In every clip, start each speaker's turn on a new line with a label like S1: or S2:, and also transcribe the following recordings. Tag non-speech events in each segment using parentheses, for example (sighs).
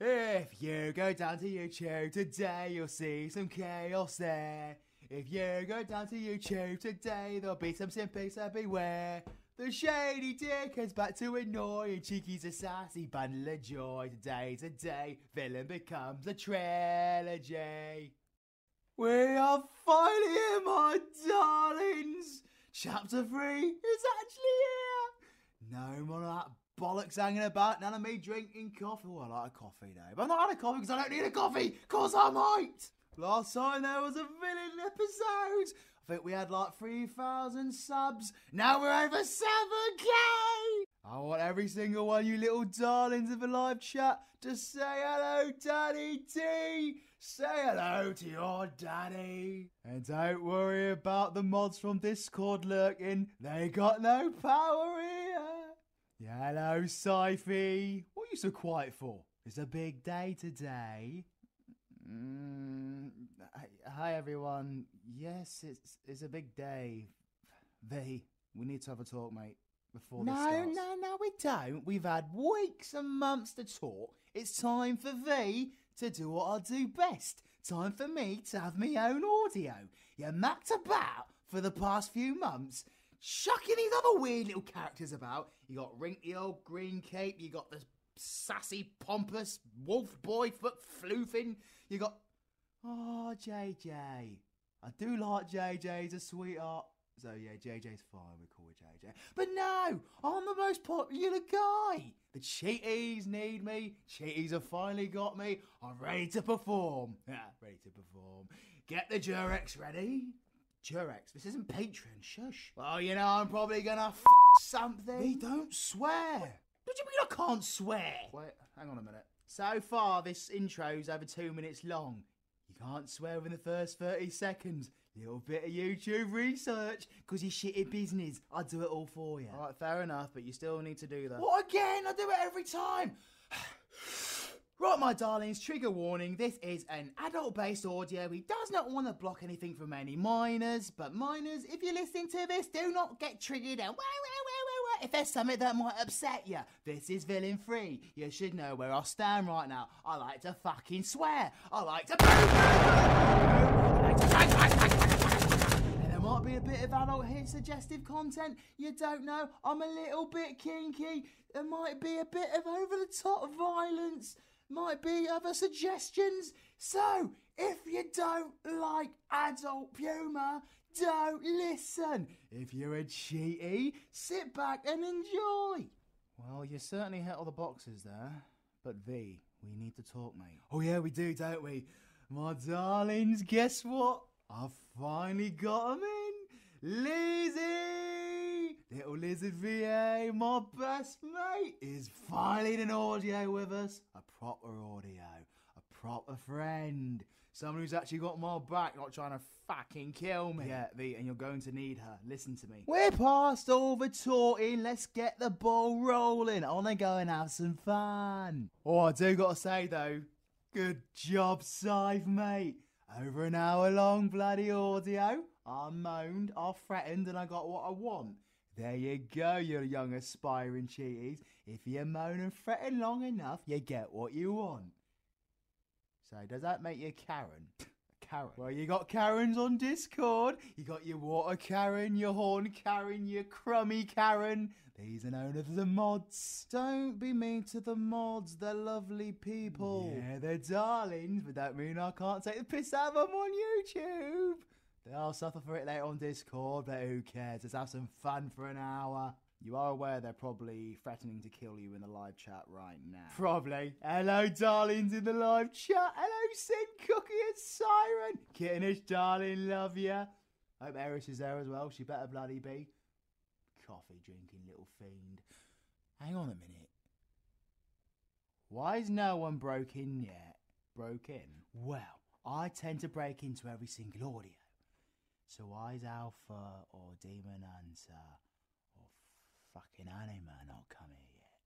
S1: If you go down to YouTube today, you'll see some chaos there. If you go down to YouTube today, there'll be some simpies, so beware. The shady dick is back to annoy, and Cheeky's a sassy bundle of joy. Today, today, villain becomes a trilogy. We are finally here, my darlings! Chapter 3 is actually here! No more of that bollocks hanging about, none of me drinking coffee. Oh, I like a coffee though. But i am not had a coffee because I don't need a coffee, because I might! Last time there was a villain episode. I think we had like 3,000 subs. Now we're over 7k! I want every single one you little darlings of the live chat to say hello, Daddy T. Say hello to your daddy. And don't worry about the mods from Discord lurking. They got no power here. Hello, Syfy. What are you so quiet for? It's a big day today. Mm, hi, everyone. Yes, it's it's a big day. V, we need to have a talk, mate. Before no, no, no, we don't. We've had weeks and months to talk. It's time for V to do what I do best. Time for me to have my own audio. You mucked about for the past few months, chucking these other weird little characters about. You got Rink old green cape, you got this sassy, pompous wolf boy foot floofing, you got. Oh, JJ. I do like JJ, he's a sweetheart. So yeah, JJ's fine. But no, I'm the most popular guy. The cheaties need me. Cheaties have finally got me. I'm ready to perform. (laughs) ready to perform. Get the Jurex ready. Jurex, this isn't Patreon, shush. Well, you know, I'm probably gonna something. We don't swear. What do you mean I can't swear? Wait, hang on a minute. So far, this intro's over two minutes long. You can't swear in the first 30 seconds little bit of YouTube research, because you shitty business. I do it all for you. All right, fair enough, but you still need to do that. What again? I do it every time. (sighs) Right, my darlings, trigger warning. This is an adult based audio. He does not want to block anything from any minors, but minors, if you're listening to this, do not get triggered and if there's something that might upset you. This is villain free. You should know where I stand right now car. I like to fucking swear. I like to. and there might be a bit of adult here suggestive content. You don't know. I'm a little bit kinky. There might be a bit of over the top violence. Might be other suggestions. So, if you don't like adult Puma, don't listen. If you're a cheaty, sit back and enjoy. Well, you certainly hit all the boxes there. But V, we need to talk, mate. Oh yeah, we do, don't we? My darlings, guess what? I've finally got him in! Lizzie! Little Lizzie VA, my best mate, is finally an audio with us. A proper audio. A proper friend. Someone who's actually got my back, not trying to fucking kill me. Yeah, V, and you're going to need her. Listen to me. We're passed over, the talking. Let's get the ball rolling. I want to go and have some fun. Oh, I do got to say, though, good job, Scythe, mate. Over an hour long bloody audio. I moaned, I threatened, and I got what I want. There you go, you young aspiring cheaties. If you moan and threaten long enough, you get what you want. So, does that make you Karen? (laughs) Karen. Well, you got Karens on Discord. You got your water Karen, your horn Karen, your crummy Karen. These are known as the mods. Don't be mean to the mods. They're lovely people. Yeah, they're darlings, but that mean I can't take the piss out of them on YouTube. They'll suffer for it later on Discord, but who cares? Let's have some fun for an hour. You are aware they're probably threatening to kill you in the live chat right now. Probably. Hello, darlings in the live chat. Hello, C. Cookie and Siren. Kittenish, darling, love ya. Hope Eris is there as well. She better bloody be. Coffee drinking little fiend. Hang on a minute. Why is no one broke in yet? Broke in? Well, I tend to break into every single audio. So why I's Alpha or Demon Hunter or fucking Anima not coming yet?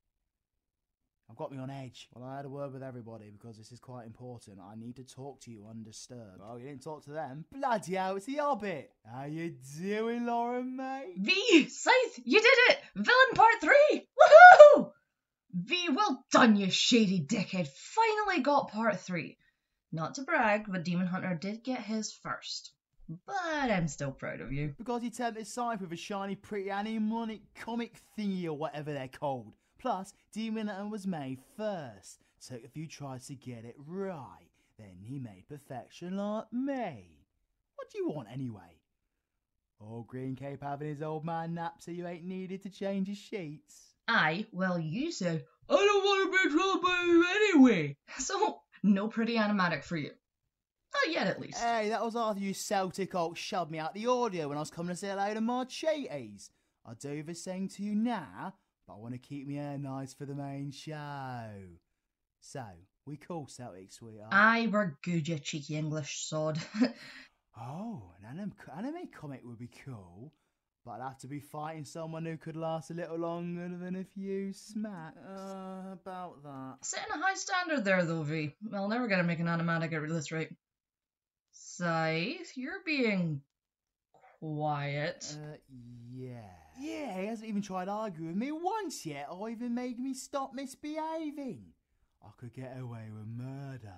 S1: I've got me on edge. Well, I had a word with everybody because this is quite important. I need to talk to you undisturbed. Oh, you didn't talk to them? Bloody hell, it's the Hobbit. How you doing, Lauren, mate? V, Scythe, you did it! Villain part three! Woohoo! V, well done, you shady dickhead. Finally got part three. Not to brag, but Demon Hunter did get his first. But I'm still proud of you. Because he turned his Scythe with a shiny, pretty Annie money comic thingy or whatever they're called. Plus, Demon Hunter was made first. so if few tries to get it right. Then he made perfection like me. What do you want anyway? Old oh, Green Cape having his old man nap so you ain't needed to change his sheets. Aye, well, you said, I don't want to be troubled anyway. (laughs) So, no pretty animatic for you. Not yet, at least. Hey, that was after you Celtic old shoved me out the audio when I was coming to say hello to Marchetes. I do the same to you now, but I want to keep my hair nice for the main show. So, we call Celtics, we are. I are good, you cheeky English sod. (laughs) oh, an anime, comic would be cool, but I'd have to be fighting someone who could last a little longer than a few smacks. Uh, about that. Setting a high standard there, though, V
S2: three. Well, never we going to make an
S1: automatic at this rate. Scythe, you're being quiet. Uh, yeah. Yeah, he hasn't even tried arguing with me once yet, or even made me stop misbehaving. I could get away with murder.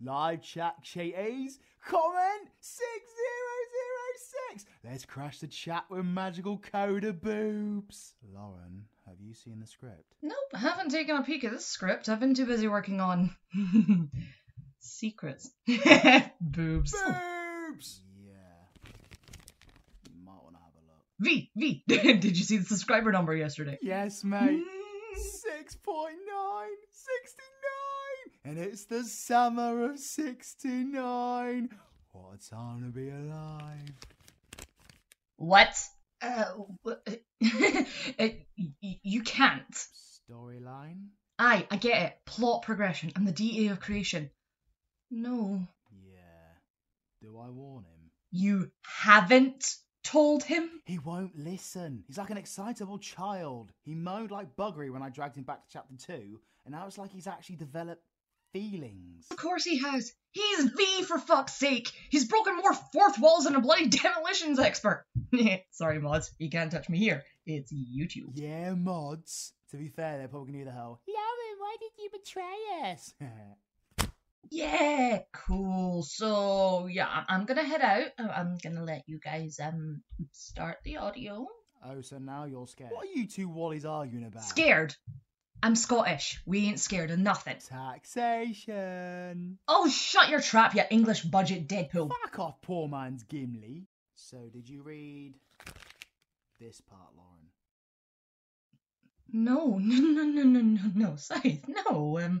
S1: Live chat cheaties, comment 6006. Let's crash the chat with magical coda boobs. Lauren have you seen the script? Nope,
S2: haven't taken a peek at this script. I've been too busy working on (laughs) secrets.
S1: (laughs) Boobs. Boobs! Yeah. might want to have a look. V, V, (laughs) did you see the subscriber number yesterday? Yes, mate. 6.969! Mm. And it's the summer of 69! What a time to be alive. What? Uh, (laughs) uh you can't. Storyline? Aye, I get it. Plot progression and the DA of creation. No. Yeah. Do I warn him? You haven't told him? He won't listen. He's like an excitable child. He moaned like buggery when I dragged him back to chapter two, and now it's like he's actually developed feelings. Of course he has. He's V for fuck's sake. He's broken more fourth walls than a bloody (laughs) demolitions expert. (laughs) Sorry, mods. You can't touch me here. It's YouTube. Yeah, mods. To be fair, they're probably gonna do the whole. Lauren, why did you betray us? (laughs) yeah, cool. So yeah, I'm gonna head out. I'm gonna let you guys um start the audio. Oh, so now you're scared. What are you two Wallys arguing about? Scared. I'm Scottish. We ain't scared of nothing. Taxation. Oh, shut your trap, you English budget Deadpool. Fuck off, poor man's Gimli. So, did you read this part, Lauren? No, (laughs) no, no, no, no, no, no, Scythe, no. Um,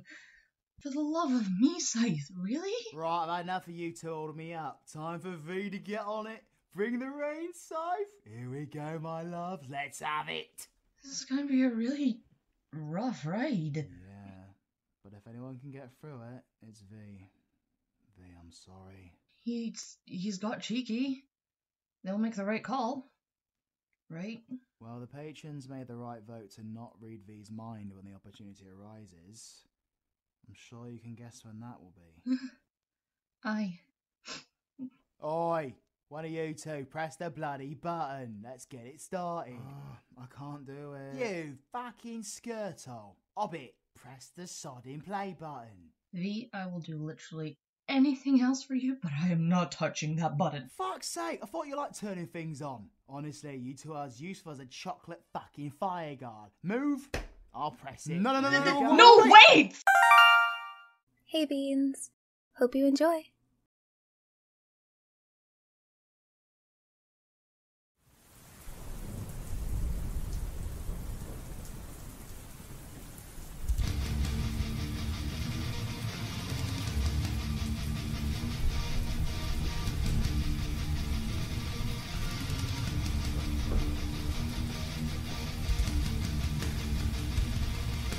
S1: for the love of me, Scythe, really? Right, I've had enough of you to holding me up. Time for V to get on it. Bring the rain, Scythe. Here we go, my love. Let's have it. This is going to be a really Rough raid. Yeah, but if anyone can get through it, it's V. V, I'm sorry. He's he's got cheeky. They'll make the right call, right? Well, the patrons made the right vote to not read V's mind when the opportunity arises. I'm sure you can guess when that will be.
S2: (laughs) Aye.
S1: Oi! One of you two, press the bloody button. Let's get it started. I can't do it. You fucking skirtle. Hobbit, press the sodding play button. V, I will do literally anything else for you, but I am not touching that button. Fuck's sake, I thought you liked turning things on. Honestly, you two are as useful as a chocolate fucking fire guard. Move, I'll press it. No, no, no, no, no, no, no, no wait!
S2: Hey, Beans. Hope you enjoy.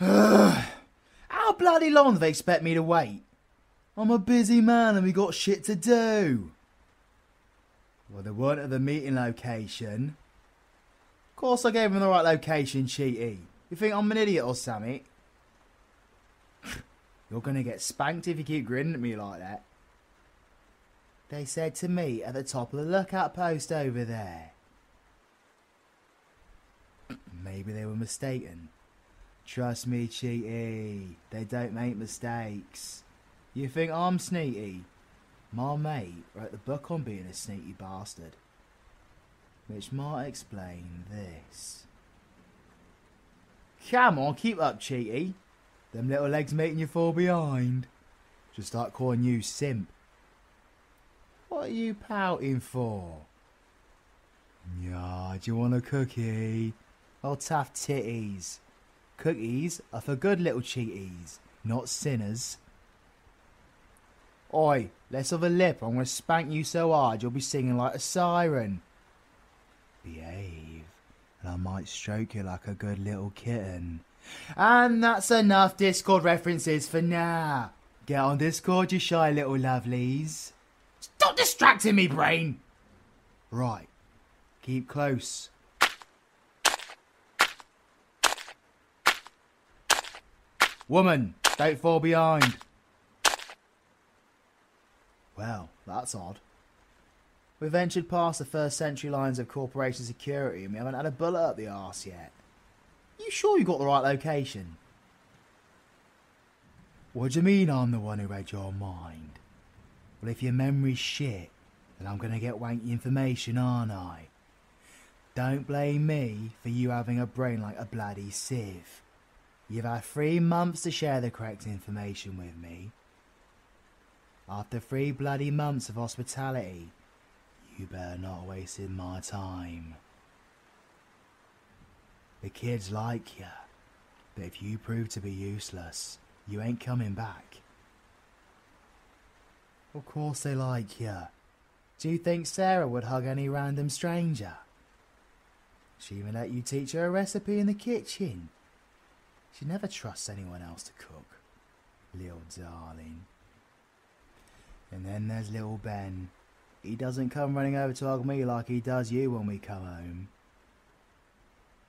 S1: Ugh. (sighs) How bloody long do they expect me to wait? I'm a busy man and we got shit to do. Well, they weren't at the meeting location. Of course I gave them the right location, cheaty. You think I'm an idiot or something? (sighs) You're gonna get spanked if you keep grinning at me like that. They said to me at the top of the lookout post over there. (clears throat) Maybe they were mistaken. Trust me, Cheaty, they don't make mistakes. You think I'm sneaky? My mate wrote the book on being a sneaky bastard. Which might explain this. Come on, keep up, Cheaty. Them little legs making you fall behind. just start calling you simp. What are you pouting for? Yeah, do you want a cookie? Oh, tough titties. Cookies are for good little cheaties, not sinners. Oi, less of a lip. I'm going to spank you so hard you'll be singing like a siren. Behave, and I might stroke you like a good little kitten. And that's enough Discord references for now. Get on Discord, you shy little lovelies. Stop distracting me, brain! Right. Keep close. Woman, don't fall behind. Well, that's odd. We ventured past the first century lines of corporations security and we haven't had a bullet up the arse yet. You sure you got the right location? What do you mean I'm the one who read your mind? Well, if your memory's shit, then I'm going to get wanky information, aren't I? Don't blame me for you having a brain like a bloody sieve. You've had three months to share the correct information with me, after three bloody months of hospitality, you better not waste my time. The kids like you, but if you prove to be useless, you ain't coming back. Of course they like you. Do you think Sarah would hug any random stranger? She even let you teach her a recipe in the kitchen. She never trusts anyone else to cook. Little darling. And then there's little Ben. He doesn't come running over to hug me like he does you when we come home.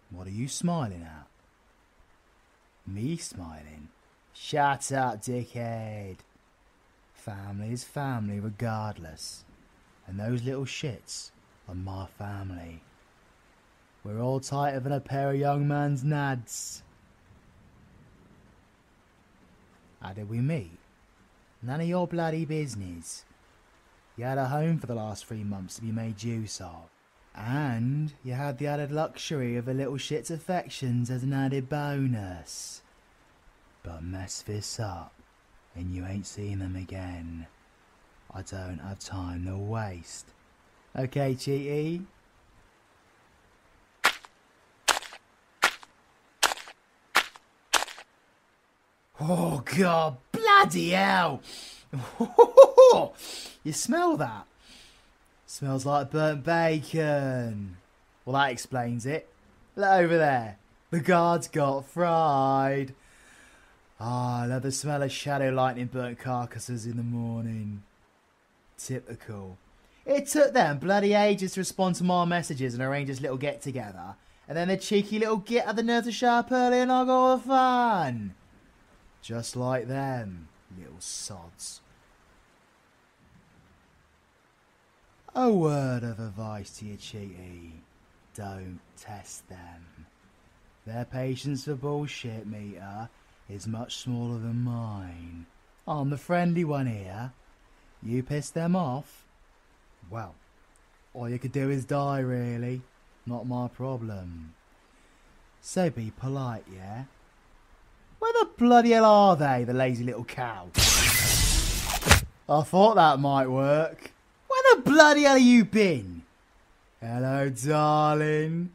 S1: What are you smiling at? Me smiling? Shut up, dickhead. Family is family regardless. And those little shits are my family. We're all tighter than a pair of young man's nads. How did we meet? None of your bloody business. You had a home for the last three months to be made use of. And you had the added luxury of a little shit's affections as an added bonus. But mess this up, and you ain't seen them again. I don't have time to waste. Okay, Cheaty, Oh god, bloody hell! (laughs) you smell that? Smells like burnt bacon. Well, that explains it. Look over there. The guards got fried. Ah, I love the smell of shadow lightning burnt carcasses in the morning. Typical. It took them bloody ages to respond to my messages and arrange this little get together. And then the cheeky little git had the nerve to show early and I got all the fun. Just like them, little sods. A word of advice to you, cheaty. Don't test them. Their patience for bullshit meter is much smaller than mine. I'm the friendly one here. You piss them off? Well, all you could do is die, really. Not my problem. So be polite, yeah? Where the bloody hell are they, the lazy little cow? I thought that might work. Where the bloody hell have you been? Hello, darling.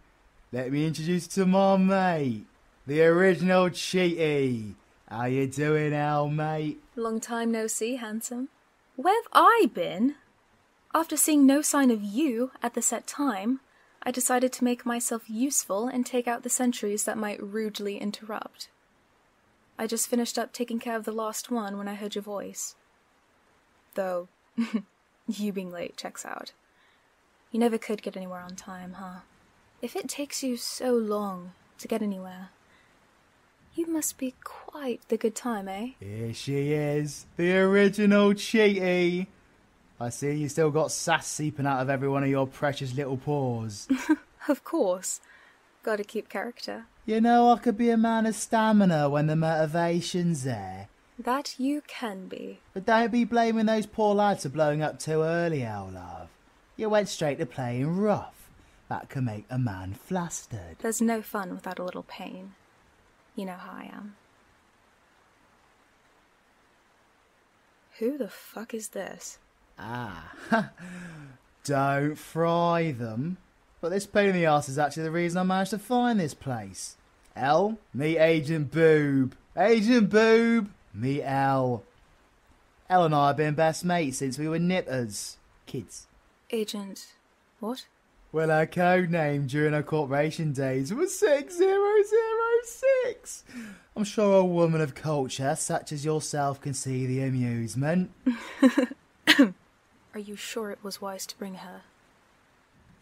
S1: Let me introduce to my mate, the original cheaty. How you doing, Al, mate?
S2: Long time no see, handsome. Where have I been? After seeing no sign of you at the set time, I decided to make myself useful and take out the sentries that might rudely interrupt. I just finished up taking care of the lost one when I heard your voice. Though, (laughs) You being late checks out. You never could get anywhere on time, huh? If it takes you so long to get anywhere, you must be quite the good time, eh?
S1: Here she is, the original cheaty. I see you still got sass seeping out of every one of your precious little paws.
S2: (laughs) of course. Gotta keep character.
S1: You know, I could be a man of stamina when the motivation's there.
S2: That you can
S1: be. But don't be blaming those poor lads for blowing up too early, our love. You went straight to playing rough. That can make a man flustered.
S2: There's no fun without a little pain. You know how I am. Who the fuck is this?
S1: Ah, (laughs) don't fry them. But this pain in the arse is actually the reason I managed to find this place. L, me Agent Boob. Agent Boob, me L. L and I have been best mates since we were nippers. Kids.
S2: Agent.
S1: What? Well, our code name during our corporation days was 6006. I'm sure a woman of culture such as yourself can see the amusement. (laughs)
S2: Are you sure it was wise to bring her?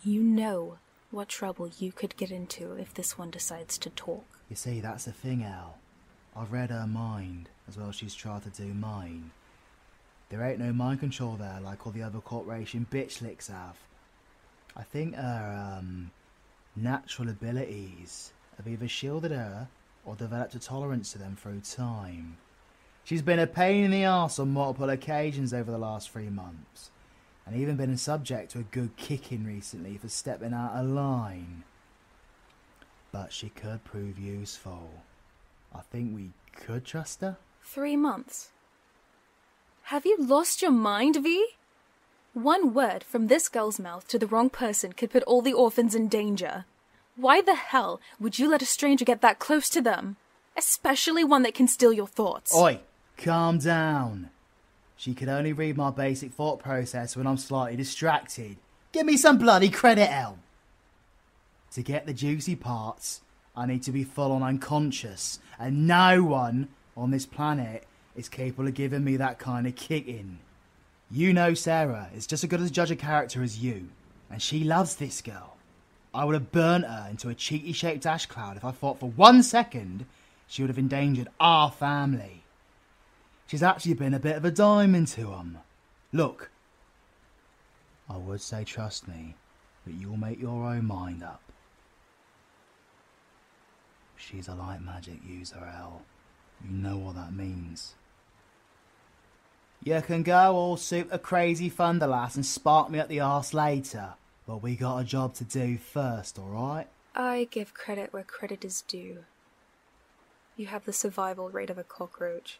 S2: You know what trouble you could get into if this one decides to talk.
S1: You see, that's the thing, Al. I've read her mind as well as she's tried to do mine. There ain't no mind control there like all the other corporation bitch licks have. I think her um, natural abilities have either shielded her or developed a tolerance to them through time. She's been a pain in the ass on multiple occasions over the last three months and even been subject to a good kicking recently for stepping out of line. But she could prove useful. I think we could trust her.
S2: Three months. Have you lost your mind, V? One word from this girl's mouth to the wrong person could put all the orphans in danger. Why the hell would you let a stranger get that close to them? Especially one that can steal your thoughts. Oi,
S1: calm down. She can only read my basic thought process when I'm slightly distracted. Give me some bloody credit, Elm! To get the juicy parts, I need to be full on unconscious, and no one on this planet is capable of giving me that kind of kick You know Sarah is just as good a judge of character as you, and she loves this girl. I would have burnt her into a cheaty shaped ash cloud if I thought for one second she would have endangered our family. She's actually been a bit of a diamond to 'em. Look, I would say trust me, but you'll make your own mind up. She's a light magic user, L. You know what that means. You can go all super crazy thunderlass and spark me at the arse later, but we got a job to do first, alright?
S2: I give credit where credit is due. You have the survival rate of a cockroach.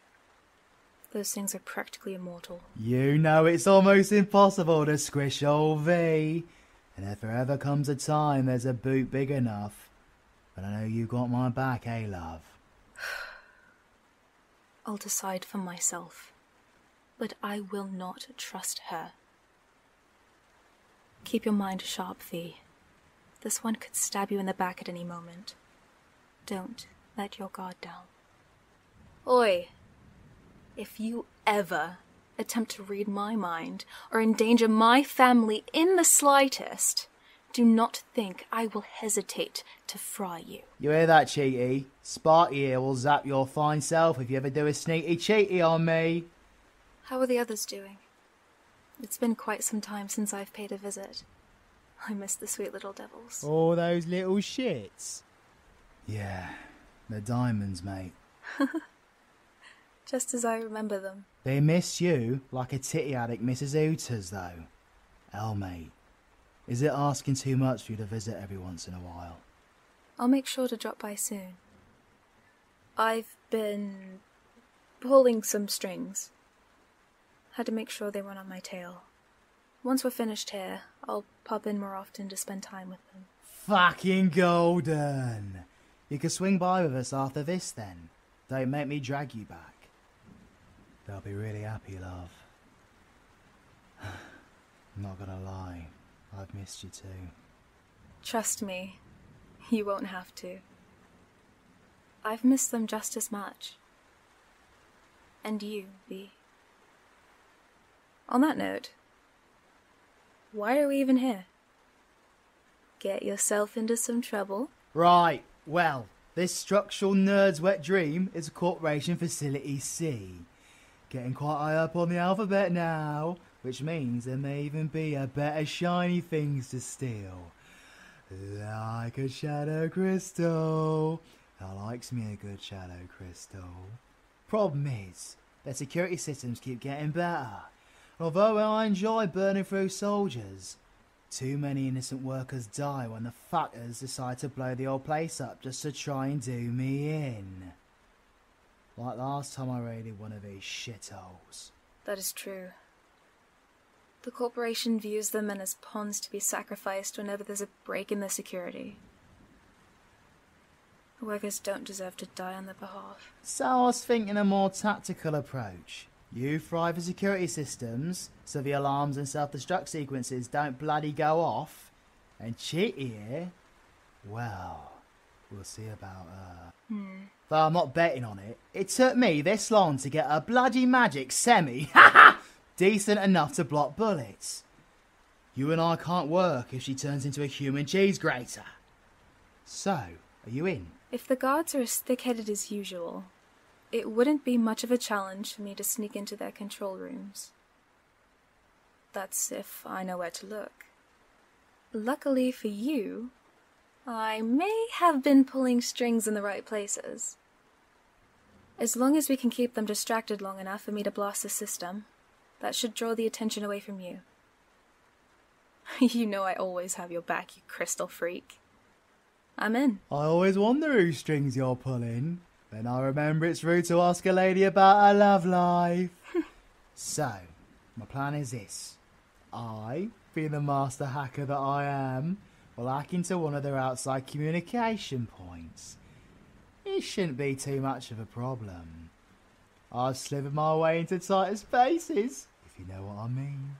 S2: Those things are practically immortal.
S1: You know it's almost impossible to squish old V. And if there ever comes a time there's a boot big enough. But I know you got my back, eh, love? (sighs)
S2: I'll decide for myself but I will not trust her. Keep your mind sharp, Thee. This one could stab you in the back at any moment. Don't let your guard down. Oi! If you ever attempt to read my mind or endanger my family in the slightest, do not think I will hesitate to fry you.
S1: You hear that, Cheaty? Sparky here will zap your fine self if you ever do a sneaky cheaty on me.
S2: How are the others doing? It's been quite some time since I've paid a visit. I miss the sweet little devils.
S1: Oh, those little shits. Yeah, they're diamonds, mate. (laughs)
S2: Just as I remember them.
S1: They miss you like a titty addict misses Ooters, though. Hell, mate. Is it asking too much for you to visit every once in a while?
S2: I'll make sure to drop by soon. I've been pulling some strings. Had to make sure they weren't on my tail. Once we're finished here, I'll pop in more often to spend time with them.
S1: Fucking golden! You can swing by with us after this then. Don't make me drag you back. They'll be really happy, love. (sighs) Not gonna lie, I've missed you too.
S2: Trust me, you won't have to. I've missed them just as much. And you, V. On that note, why are we even here? Get yourself into some trouble?
S1: Right, well, this structural nerd's wet dream is corporation facility C. Getting quite high up on the alphabet now, which means there may even be a bit of shiny things to steal. Like a shadow crystal. I likes me a good shadow crystal. Problem is, the security systems keep getting better. although I enjoy burning through soldiers, too many innocent workers die when the fuckers decide to blow the old place up just to try and do me in. Like last time I raided one of these shitholes.
S2: That is true. The corporation views them in as pawns to be sacrificed whenever there's a break in their security. The workers don't deserve to die on their behalf.
S1: So I was thinking a more tactical approach. You fry for security systems, so the alarms and self-destruct sequences don't bloody go off. And cheat here, well... We'll see about her. Uh, mm. Though I'm not betting on it. It took me this long to get a bloody magic semi. (laughs) Decent enough to block bullets. You and I can't work if she turns into a human cheese grater. So, are you in? If the guards are
S2: as thick headed as usual, it wouldn't be much of a challenge for me to sneak into their control rooms. That's if I know where to look. Luckily for you, I may have been pulling strings in the right places. As long as we can keep them distracted long enough for me to blast the system, that should draw the attention away from you. (laughs) you know I always have your back, you crystal freak.
S1: I'm in. I always wonder whose strings you're pulling. Then I remember it's rude to ask a lady about her love life. (laughs) So, my plan is this. I, being the master hacker that I am, will hack into one of their outside communication points. It shouldn't be too much of a problem. i will slither my way into tighter spaces, if you know what I mean.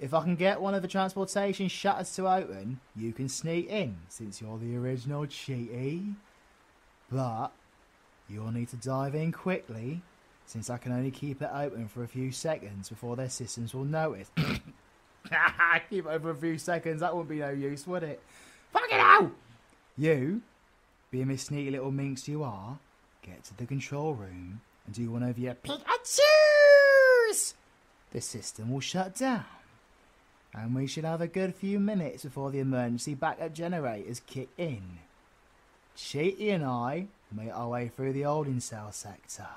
S1: If I can get one of the transportation shutters to open, you can sneak in, since you're the original cheaty. But you'll need to dive in quickly since I can only keep it open for a few seconds before their systems will notice. (coughs) keep it for a few seconds, that wouldn't be no use, would it? Fuck it out! You, being a sneaky little minx you are, get to the control room and do one of your pick Pikachu's! The system will shut down. And we should have a good few minutes before the emergency backup generators kick in. Sheety and I made our way through the holding cell sector.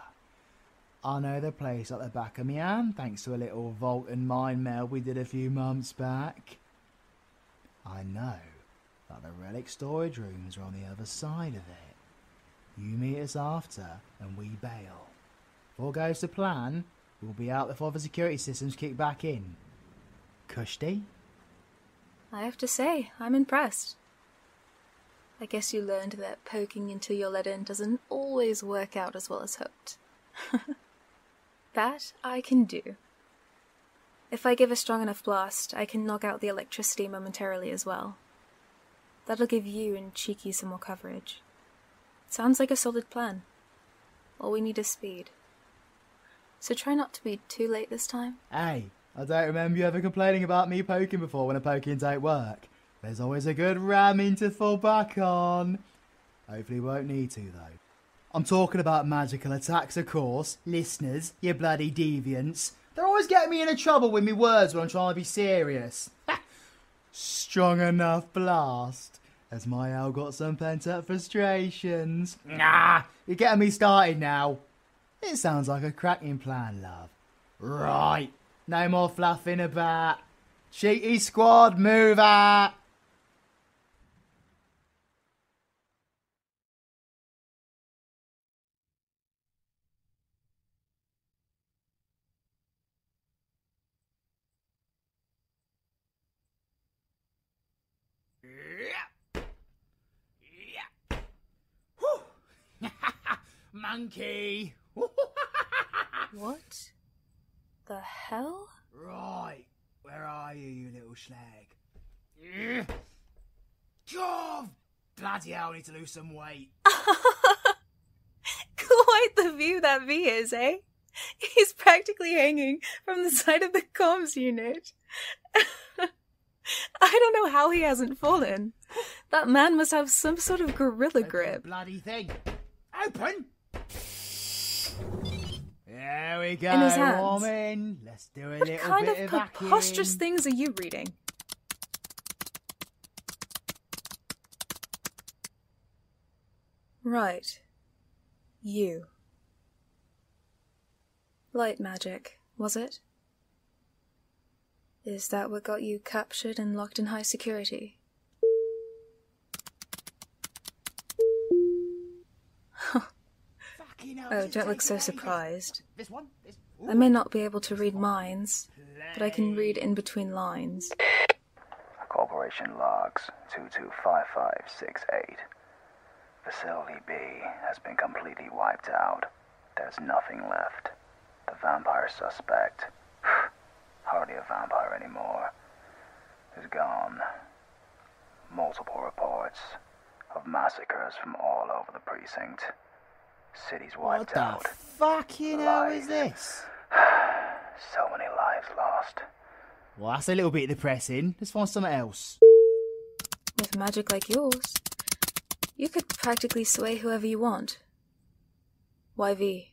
S1: I know the place like the back of my hand thanks to a little vault and mine meld we did a few months back. I know that the relic storage rooms are on the other side of it. You meet us after and we bail. If all goes to plan, we'll be out before the security systems kick back in. Kushti?
S2: I have to say, I'm impressed. I guess you learned that poking into your lead-in doesn't always work out as well as hoped. (laughs) that I can do. If I give a strong enough blast, I can knock out the electricity momentarily as well. That'll give you and Cheeky some more coverage. Sounds like a solid plan. All we need is speed. So try not to be too late this time.
S1: Hey, I don't remember you ever complaining about me poking before when a poking don't work. There's always a good ramming to fall back on. Hopefully won't need to though. I'm talking about magical attacks, of course. Listeners, you bloody deviants. They're always getting me into trouble with me words when I'm trying to be serious. Strong enough blast. As my owl got some pent up frustrations? Ah. You're getting me started now. It sounds like a cracking plan, love. Right. No more fluffing about. Cheaty squad, move out. Yeah. Yeah. Whew. (laughs) Monkey.
S2: (laughs) what the hell?
S1: Right. Where are you, you little slag? God! Bloody hell, I need to lose some weight. (laughs)
S2: Quite the view that V is, eh? He's practically hanging from the side of the comms unit. (laughs) I don't know how he hasn't fallen. That man must have some sort of gorilla grip.
S1: Bloody thing. Open! There we go. In his hands. what kind of preposterous things
S2: are you reading? Right. You. Light magic, was it? Is that what got you captured and locked in high security? oh, don't look so surprised. I may not be able to read minds, but I can read in between lines.
S1: Corporation logs 225568. Facility B has been completely wiped out. There's nothing left. The vampire suspect, (sighs) hardly a vampire anymore, is gone. Multiple reports of massacres from all over the precinct. City's wiped what out. What the fuck, you know, is this? (sighs) so many lives lost. Well, that's a little bit depressing. Let's find something else.
S2: With magic like yours, you could practically sway whoever you want. YV,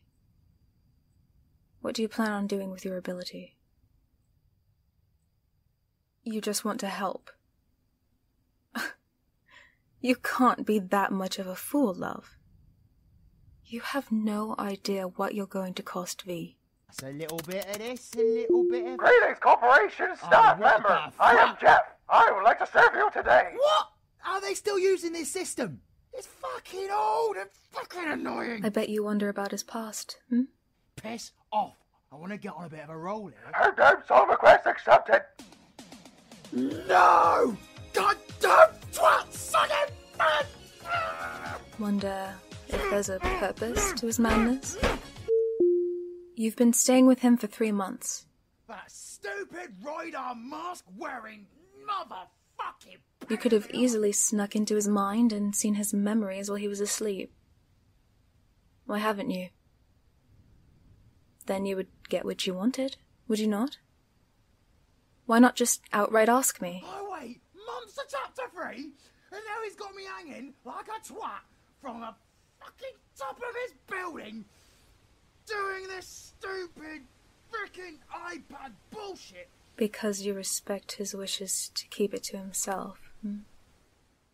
S2: what do you plan on doing with your ability? You just want to help. (laughs) you can't be that much of a fool, love. You have no idea what you're going to cost V.
S1: That's a little bit of this, a little bit of... Greetings, Corporation oh, Staff oh, Member! I am Jeff! I would like to serve you today! What? Are they still using this system? It's fucking old and fucking annoying! I
S2: bet you wonder about his past, hmm? Piss off! I want to get on a bit of
S1: a roll here. Her damn song request accepted! No! God damn twat sucking man! Wonder if
S2: there's a purpose to his madness? You've been staying with him for three
S1: months. That stupid radar mask wearing motherfucking.
S2: You could have easily snuck into his mind and seen his memories while he was asleep. Why haven't you? Then you would get what you wanted, would you not? Why not just outright ask me?
S1: Oh, wait! Monster chapter three! And now he's got me hanging like a twat from the fucking top of his building doing this stupid freaking bullshit.
S2: Because you respect his wishes to keep it to himself.
S1: Hmm?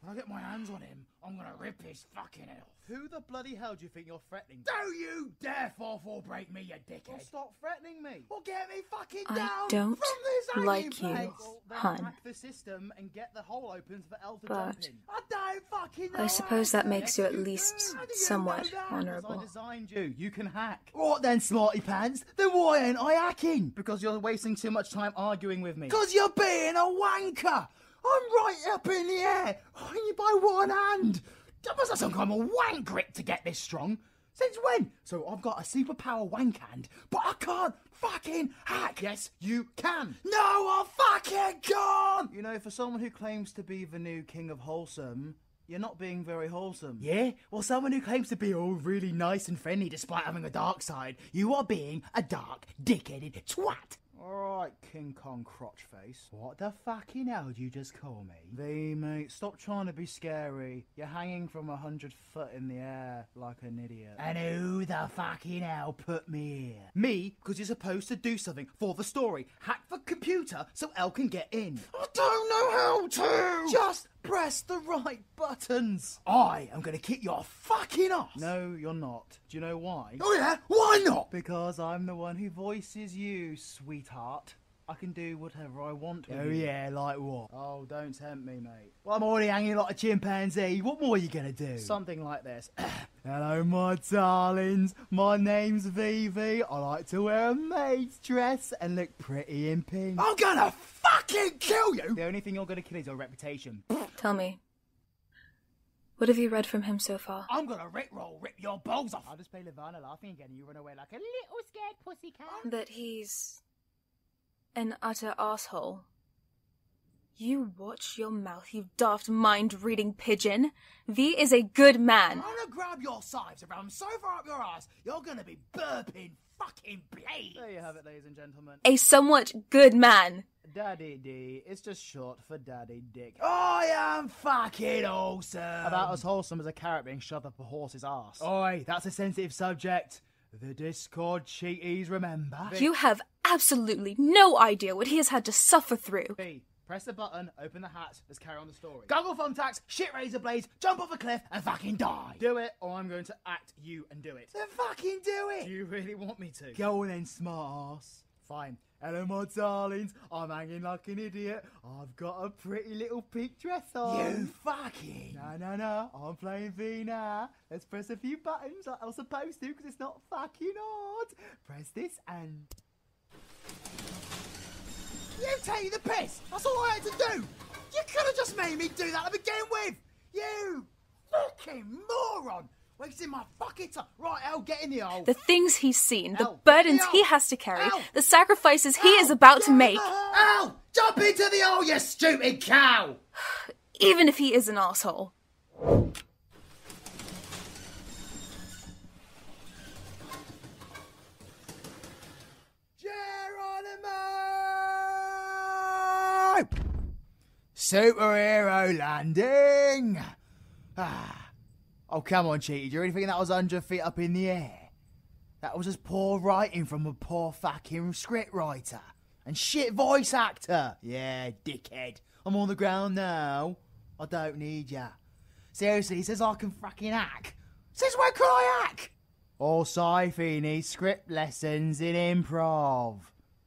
S1: When I get my hands on him, I'm gonna rip his fucking head off. Who the bloody hell do you think you're threatening? do you dare fall for break me, you dickhead! stop threatening me! Or get me fucking I down! I don't like you. Han.
S2: But I suppose that makes you at least somewhat
S1: honourable. You. you can hack. Right then, smarty pants. Then why ain't I hacking? Because you're wasting too much time arguing with me. Because you're being a wanker. I'm right up in the air, only by one hand. That must have some kind of wank grip to get this strong. Since when? So I've got a superpower wank hand, but I can't fucking hack. Yes, you can. No, I am fucking can't. You know, for someone who claims to be the new king of wholesome, you're not being very wholesome. Yeah? Well, someone who claims to be all really nice and friendly despite having a dark side, you are being a dark, dickheaded twat. Alright, King Kong Crotchface. What the fucking hell do you just call me? V, mate, stop trying to be scary. You're hanging from a hundred foot in the air like an idiot. And who the fucking hell put me here? Me, because you're supposed to do something for the story. Hack the computer so El can get in. I don't know how to! Just press the right buttons. I am going to kick your fucking ass. No, you're not. Do you know why? Oh, yeah? Why not? Because I'm the one who voices you, sweetheart. I can do whatever I want. oh, yeah, like what? Oh, don't tempt me, mate. Well, I'm already hanging like a chimpanzee. What more are you going to do? Something like this. (coughs) Hello, my darlings. My name's Vivi. I like to wear a maid's dress and look pretty in pink. I'm going to fucking kill you! The only thing you're going to kill is your reputation. (coughs)
S2: Tell me. What have you read from him so far?
S1: I'm gonna rickroll, rip your balls off! I'll just play Lavanna laughing again and you run away like a little scared pussy cat. That he's
S2: an utter asshole. You watch your mouth, you daft mind-reading pigeon. V is a good man. I'm gonna
S1: grab your sides around so far up your ass, you're gonna be burping fucking blades. There you have it, ladies and gentlemen.
S2: A somewhat good man.
S1: Daddy D. is just short for Daddy Dick. I am fucking awesome. About as wholesome as a carrot being shoved up a horse's ass. Oi, that's a sensitive subject. The Discord cheaties, remember? You have
S2: absolutely no idea what he has had to suffer through. B.
S1: Press the button, open the hat, let's carry on the story. Goggle thumbtacks, shit razor blades, jump off a cliff, and fucking die. Do it, or I'm going to act you and do it. Then fucking do it! you really want me to? Go on then, smart ass. Fine. Hello, my darlings. I'm hanging like an idiot. I've got a pretty little pink dress on. You fucking. No, no, no. I'm playing Vina. Let's press a few buttons like I'm supposed to because it's not fucking hard. Press this and... You take the piss! That's all I had to do! You could have just made me do that to begin with! You fucking moron! Wasting my fucking Right, I'll get in the hole. The
S2: things he's seen, the burdens he has to carry, the sacrifices he is about to make. Ow! Jump into the hole, you stupid cow! (sighs) (sighs) (sighs) even if he is an asshole.
S1: Geronimo! Superhero landing! Ah. Oh, come on, Cheaty. Do you really think that was 100 feet up in the air? That was just poor writing from a poor fucking scriptwriter. And shit voice actor. Yeah, dickhead. I'm on the ground now. I don't need ya. Seriously, he says I can fucking hack. Says where could I hack? Oh, Syfy needs script lessons in improv.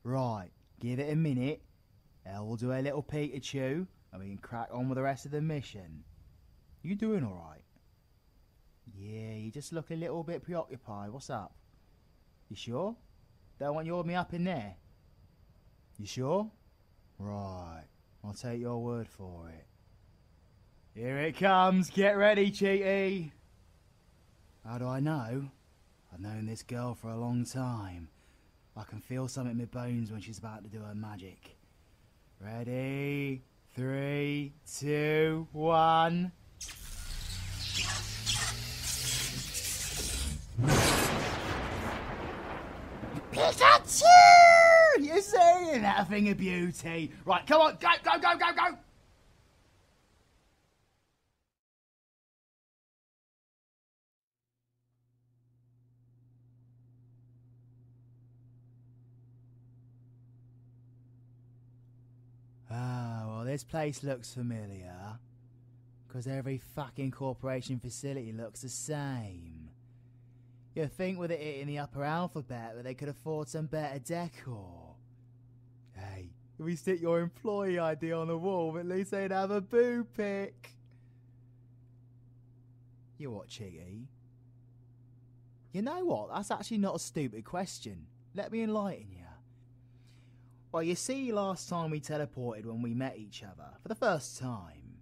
S1: Right, give it a minute. I will do a little Peter Pikachu, and we can crack on with the rest of the mission. You doing alright? Yeah, you just look a little bit preoccupied. What's up? You sure? Don't want you me up in there? You sure? Right, I'll take your word for it. Here it comes, get ready, Cheaty! How do I know? I've known this girl for a long time. I can feel something in my bones when she's about to do her magic. Ready? Three, two, one. Pikachu! You see, that thing of beauty. Right, come on, go, go, go, go, go! Ah, well, this place looks familiar. Because every fucking corporation facility looks the same. You'd think with it in the upper alphabet that they could afford some better decor. Hey, if we stick your employee ID on the wall, at least they'd have a boo pick. You watching? Chiggy? You know what? That's actually not a stupid question. Let me enlighten you. Well, you see, last time we teleported when we met each other, for the first time,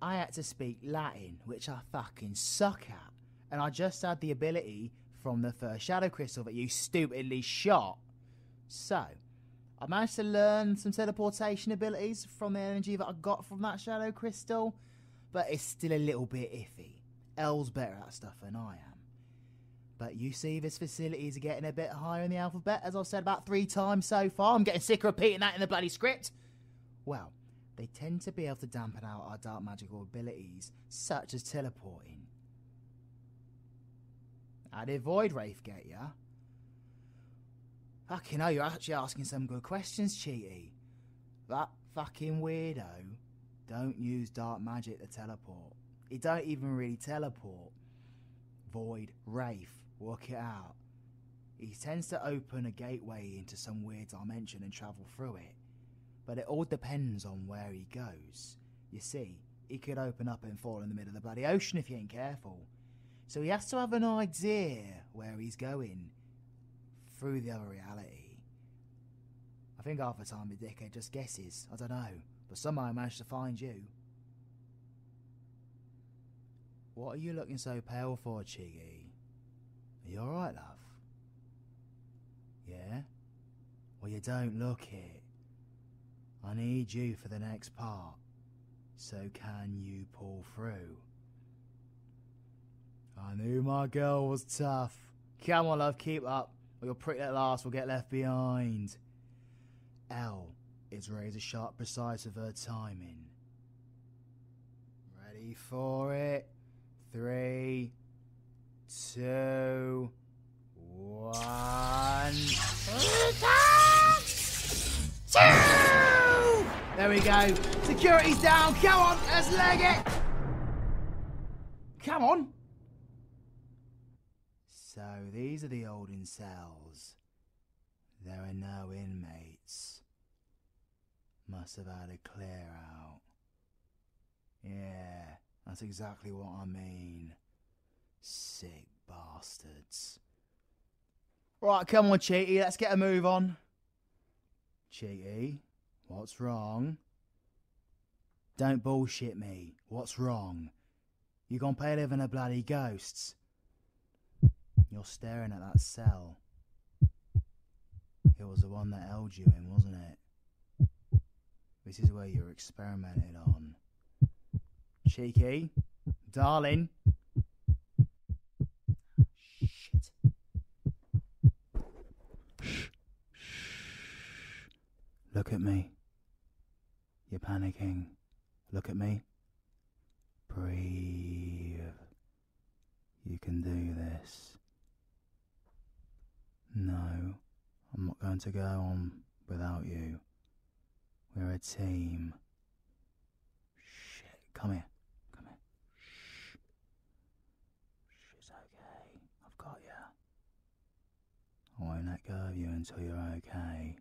S1: I had to speak Latin, which I fucking suck at, and I just had the ability from the first Shadow Crystal that you stupidly shot. So, I managed to learn some teleportation abilities from the energy that I got from that Shadow Crystal, but it's still a little bit iffy. Elle's better at stuff than I am. But you see, this facility is getting a bit higher in the alphabet, as I've said about three times so far. I'm getting sick of repeating that in the bloody script. Well, they tend to be able to dampen out our dark magical abilities, such as teleporting. How did Void Wraith get ya? Fucking hell, you're actually asking some good questions, Cheaty. That fucking weirdo don't use dark magic to teleport. He don't even really teleport. Void, Wraith, work it out. He tends to open a gateway into some weird dimension and travel through it. But it all depends on where he goes. You see, he could open up and fall in the middle of the bloody ocean if he ain't careful. So he has to have an idea where he's going through the other reality. I think half the time the dickhead just guesses. I don't know. But somehow I managed to find you. What are you looking so pale for, Chiggy? Are you alright, love? Yeah? Well, you don't look it. I need you for the next part. So can you pull through? I knew my girl was tough. Come on, love, keep up or your prick at last will get left behind. L is razor sharp precise with her timing. Ready for it? Three, two, one. Two! There we go. Security's down. Come on, let's leg it. Come on. So these are the olden cells. There are no inmates. Must have had a clear out. Yeah, that's exactly what I mean. Sick bastards. Right, come on, Cheaty, let's get a move on. Cheaty, what's wrong? Don't bullshit me. What's wrong? You gonna pay living to bloody ghosts? You're staring at that cell. It was the one that held you in, wasn't it? This is where you're experimented on. Cheeky, darling. Shit. Shh. Shh. Look at me. You're panicking. Look at me. Breathe. You can do this. No, I'm not going to go on without you. We're a team. Shit, come here. Come here. Shh. She's okay. I've got you. I won't let go of you until you're okay.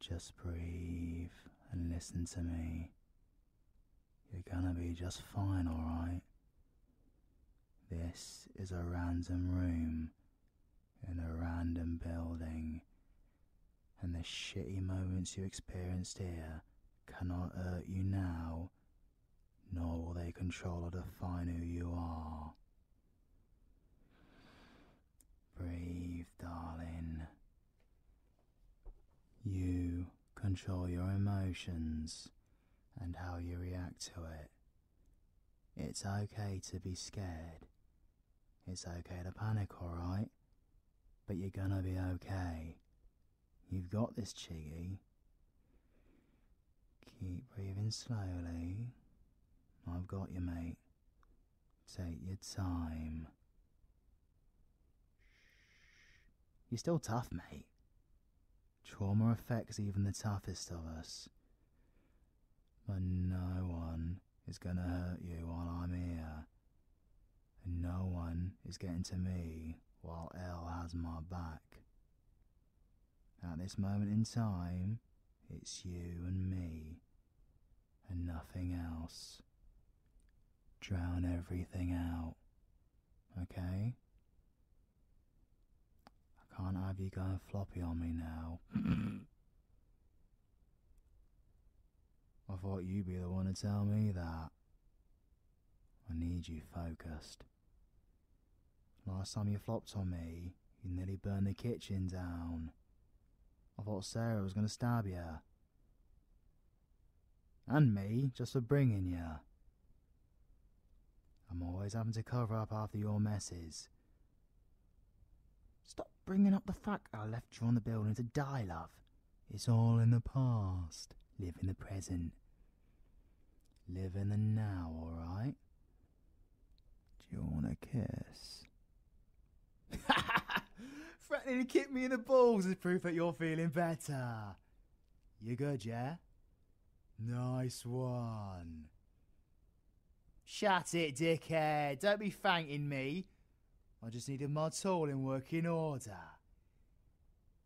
S1: Just breathe and listen to me. You're gonna be just fine, alright? This is a random room in a random building, and the shitty moments you experienced here cannot hurt you now, nor will they control or define who you are. Breathe, darling. You control your emotions and how you react to it. It's okay to be scared. It's okay to panic, alright? But you're gonna be okay. You've got this, Chiggy. Keep breathing slowly. I've got you, mate. Take your time. You're still tough, mate. Trauma affects even the toughest of us. But no one is gonna hurt you while I'm here. And no one is getting to me while Elle has my back. At this moment in time, it's you and me, and nothing else. Drown everything out, okay? I can't have you going floppy on me now. (coughs) I thought you'd be the one to tell me that. I need you focused. Last time you flopped on me, you nearly burned the kitchen down. I thought Sarah was going to stab you. And me, just for bringing you. I'm always having to cover up after your messes. Stop bringing up the fact I left you on the building to die, love. It's all in the past. Live in the present. Live in the now, alright? Do you want a kiss? (laughs) Threatening to kick me in the balls is proof that you're feeling better. You good, yeah? Nice one. Shut it, dickhead. Don't be thanking me. I just needed my tool in working order.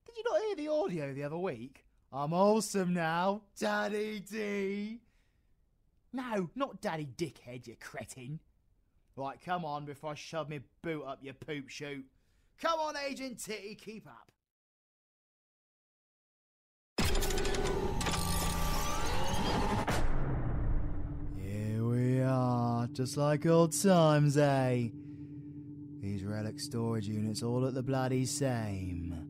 S1: Did you not hear the audio the other week? I'm awesome now, Daddy D. No, not Daddy Dickhead, you cretin. Right, come on before I shove my boot up your poop chute. Come on, Agent Titty, keep up. Here we are, just like old times, eh? These relic storage units all at the bloody same.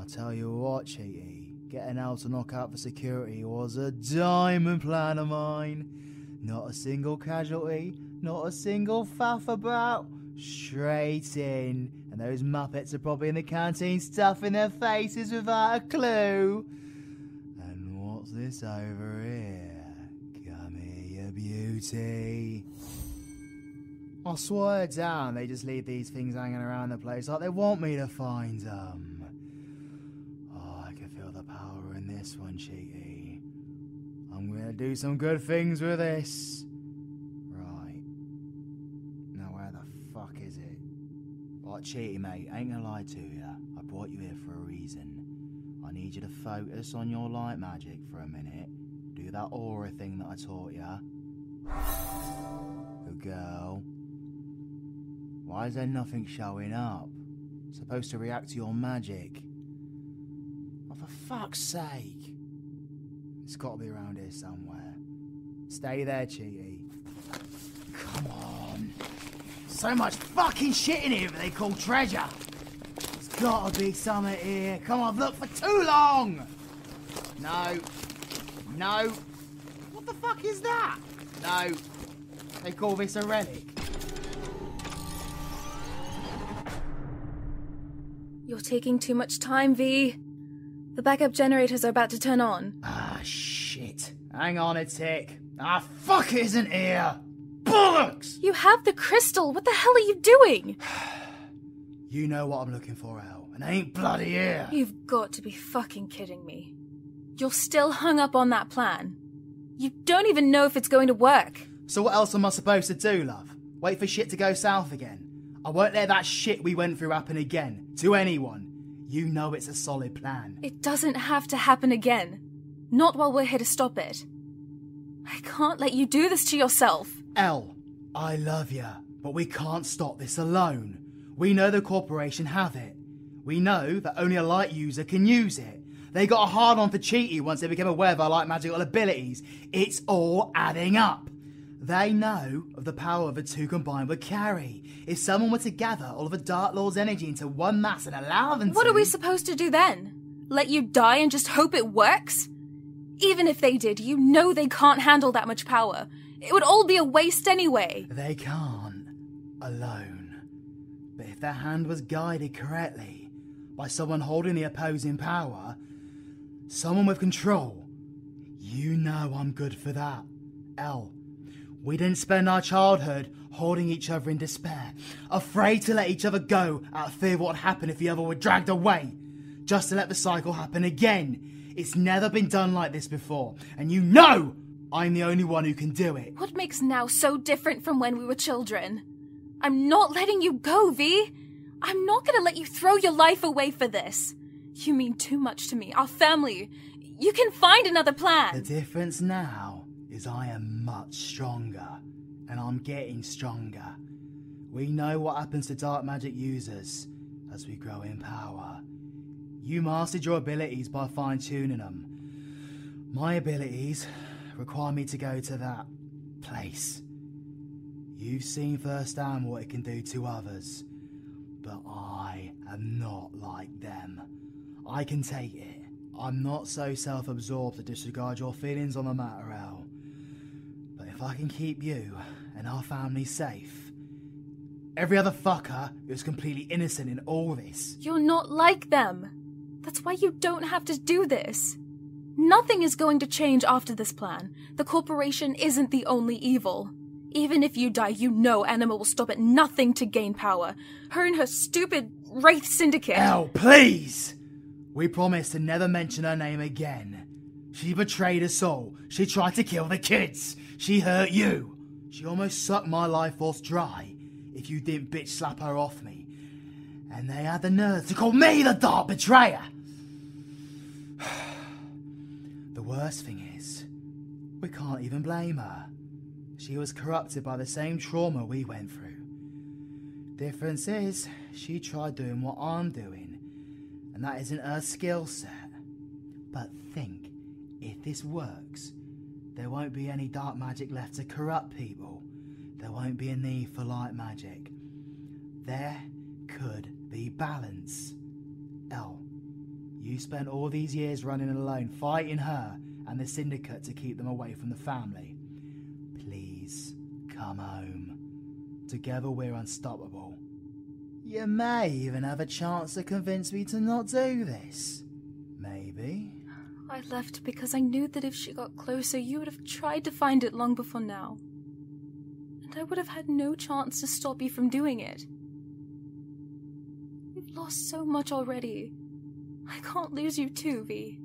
S1: I tell you what, Cheaty, getting out to knock out for security was a diamond plan of mine. Not a single casualty, not a single faff about. Straight in, and those Muppets are probably in the canteen stuffing their faces without a clue. And what's this over here? Come here, beauty. I swear to God, they just leave these things hanging around the place like they want me to find them. Oh, I can feel the power in this one, Cheaty. I'm gonna do some good things with this. Right. Now, where the fuck is it? Like, Cheaty, mate, ain't gonna lie to you. I brought you here for a reason. I need you to focus on your light magic for a minute do that aura thing that I taught ya. Good girl. Why is there nothing showing up? It's supposed to react to your magic. for fuck's sake. It's gotta be around here somewhere. Stay there, Cheaty. Come on. So much fucking shit in here that they call treasure. it has gotta be somewhere here. Come on, I've looked for too long! No. No. What the fuck is that? No. They call this a relic.
S2: You're taking too much time, V. The backup generators are about to turn on. Ah,
S1: shit. Hang on a tick. Ah, fuck is isn't here!
S2: Bollocks! You have the crystal! What the hell are you doing? (sighs) (sighs)
S1: (sighs) You know what I'm looking for, El, and I ain't bloody here.
S2: You've got to be fucking kidding me. You're still hung up on that plan. You don't even know if it's going
S1: to work. So what else am I supposed to do, love? Wait for shit to go south again? I won't let that shit we went through happen again, to anyone. You know it's a solid plan.
S2: It doesn't have to happen again. Not while we're here to stop it. I can't let you do this to yourself.
S1: El. I love you, but we can't stop this alone. We know the corporation have it. We know that only a light user can use it. They got a hard on for Cheaty once they became aware of our light magical abilities. It's all adding up. They know of the power of the two combined would carry. If someone were to gather all of the Dark Lord's energy into one mass and allow them What are we supposed to do then? Let you
S2: die and just hope it works? Even if they did, you know they can't handle that much power. It would all be a waste anyway.
S1: They can't. Alone. But if their hand was guided correctly by someone holding the opposing power, someone with control, you know I'm good for that. L. We didn't spend our childhood holding each other in despair, afraid to let each other go out of fear of what would happen if the other were dragged away just to let the cycle happen again. It's never been done like this before, and you know I'm the only one who can do it.
S2: What makes now so different from when we were children? I'm not letting you go, V. I'm not gonna let you throw your life away for this. You mean too much to me, our family. You can find another plan. The
S1: difference now is I am much stronger, and I'm getting stronger. We know what happens to dark magic users, as we grow in power. You mastered your abilities by fine tuning them. My abilities require me to go to that place. You've seen firsthand what it can do to others, but I am not like them. I can take it. I'm not so self absorbed to disregard your feelings on the matter, Al. But if I can keep you and our family safe, Every other fucker is completely innocent in all this.
S2: You're not like them. That's why you don't have to do this. Nothing is going to change after this plan. The corporation isn't the only evil. Even if you die, you know Anima will stop at nothing to gain power. Her and her stupid Wraith Syndicate. Hell,
S1: please! We promise to never mention her name again. She betrayed us all. She tried to kill the kids. She hurt you. She almost sucked my life force dry if you didn't bitch slap her off me. And they had the nerve to call me the dark betrayer. (sighs) the worst thing is, we can't even blame her. She was corrupted by the same trauma we went through. Difference is, she tried doing what I'm doing, and that isn't her skill set. But think, if this works, there won't be any dark magic left to corrupt people. There won't be a need for light magic. There could be balance. L. You spent all these years running alone, fighting her and the syndicate to keep them away from the family. Please come home. Together we're unstoppable. You may even have a chance to convince me to not do this. Maybe.
S2: I left because I knew that if she got closer, you would have tried to find it long before now. And I would have had no chance to stop you from doing it. We've lost so much already. I can't lose you too, V.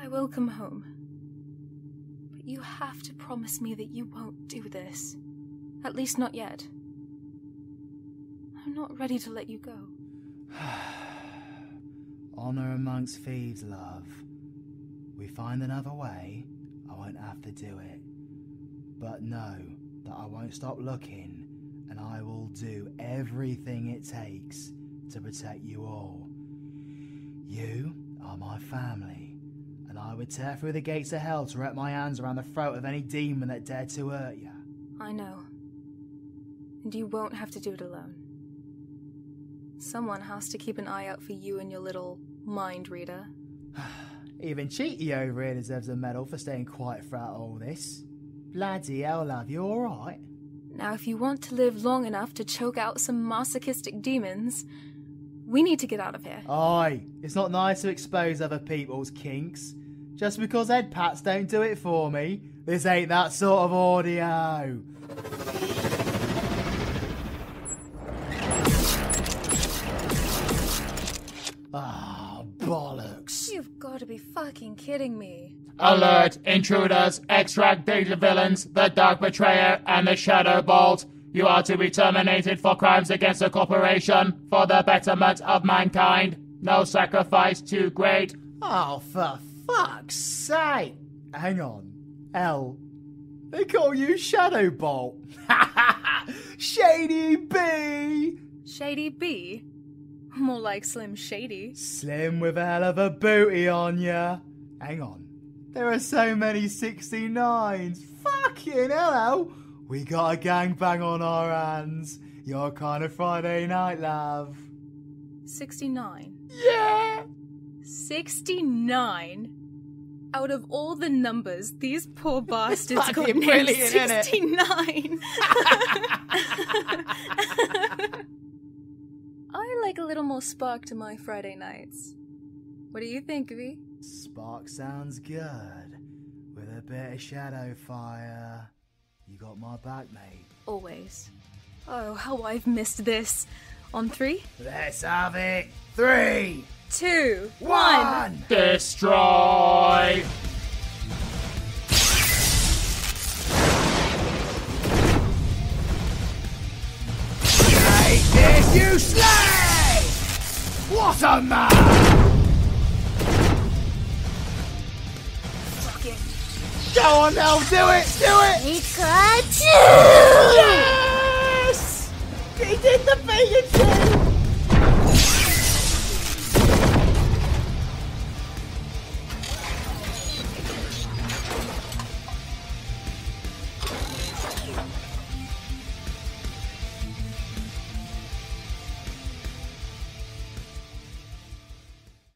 S2: I will come home. But you have to promise me that you won't do this. At least not yet. I'm not ready to let you go. (sighs)
S1: Honor amongst thieves, love. We find another way, I won't have to do it. But know that I won't stop looking, and I will do everything it takes to protect you all. You are my family, and I would tear through the gates of hell to wrap my hands around the throat of any demon that dared to hurt you.
S2: I know. And you won't have to do it alone. Someone has to keep an eye out for you and your little mind reader. (sighs)
S1: Even Cheaty over here deserves a medal for staying quiet throughout all this. Bloody hell, love, you alright? Now, if
S2: you want to live long enough to choke out some masochistic demons, we need to get out
S1: of here. Aye, it's not nice to expose other people's kinks. Just because head pats don't do it for me, this ain't that sort of audio. Ah, bollocks.
S2: You've got to be fucking kidding me.
S1: Alert, intruders, extract the villains, the dark betrayer, and the shadow bolt. You are to be terminated for crimes against the corporation for the betterment of mankind. No sacrifice too great. Oh, for fuck's sake! Hang on. L. They call you Shadow Bolt.
S2: (laughs) Shady B! Shady B? More like Slim Shady.
S1: Slim with a hell of a booty on ya. Hang on. There are so many 69s.
S2: Fucking hello.
S1: We got a bang on our hands. Your kind of Friday night, love.
S2: 69. Yeah! 69? Out of all the numbers, these poor (laughs) bastards got named 69. (laughs) (laughs) I like a little more spark to my Friday nights. What do you think, V?
S1: Spark sounds good. With a bit of shadow fire. You got my back, mate.
S2: Always. Oh, how I've missed this. On three?
S1: Let's have it. Three,
S2: two, one. one.
S1: Destroy! Take this, you slave! What a man! Go on now, do it, do it! Pikachu! Yes! He did the Pikachu!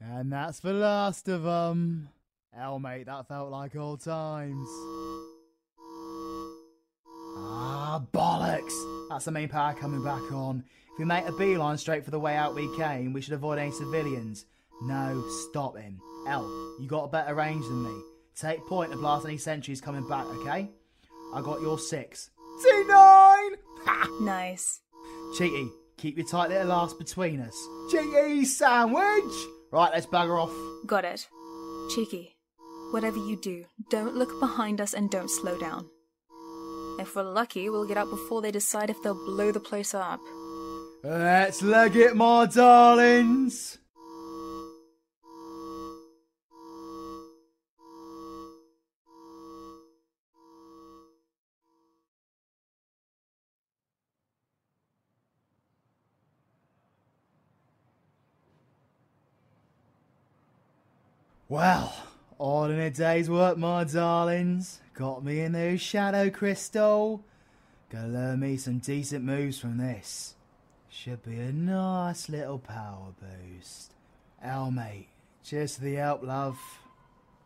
S1: And that's the last of them. Hell, mate, that felt like old times. Ah, bollocks! That's the main power coming back on. If we make a beeline straight for the way out we came, we should avoid any civilians. No, stop him. Hell, you got a better range than me. Take point of last any centuries coming back, okay? I got your six. T9! Nice. Cheaty, keep your tight little ass between us. Cheaty
S2: sandwich!
S1: Right, let's bugger off.
S2: Got it. Cheeky, whatever you do, don't look behind us and don't slow down. If we're lucky, we'll get out before they decide if they'll blow the place up.
S1: Let's leg it, my darlings! Well, all in a day's work, my darlings. Got me in those shadow crystal. got to learn me some decent moves from this. Should be a nice little power boost. Al, mate, cheers to the help, love.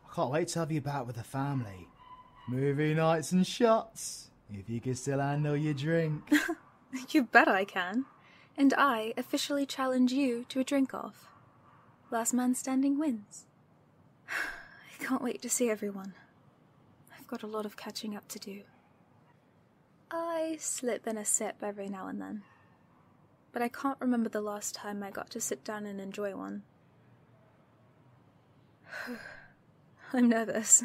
S1: I can't wait to have you back with the family. Movie nights and shots, if you can still handle your drink.
S2: (laughs) you bet I can. And I officially challenge you to a drink off. Last man standing wins. (sighs) I can't wait to see everyone. I've got a lot of catching up to do. I slip in a sip every now and then, but I can't remember the last time I got to sit down and enjoy one. (sighs) I'm nervous.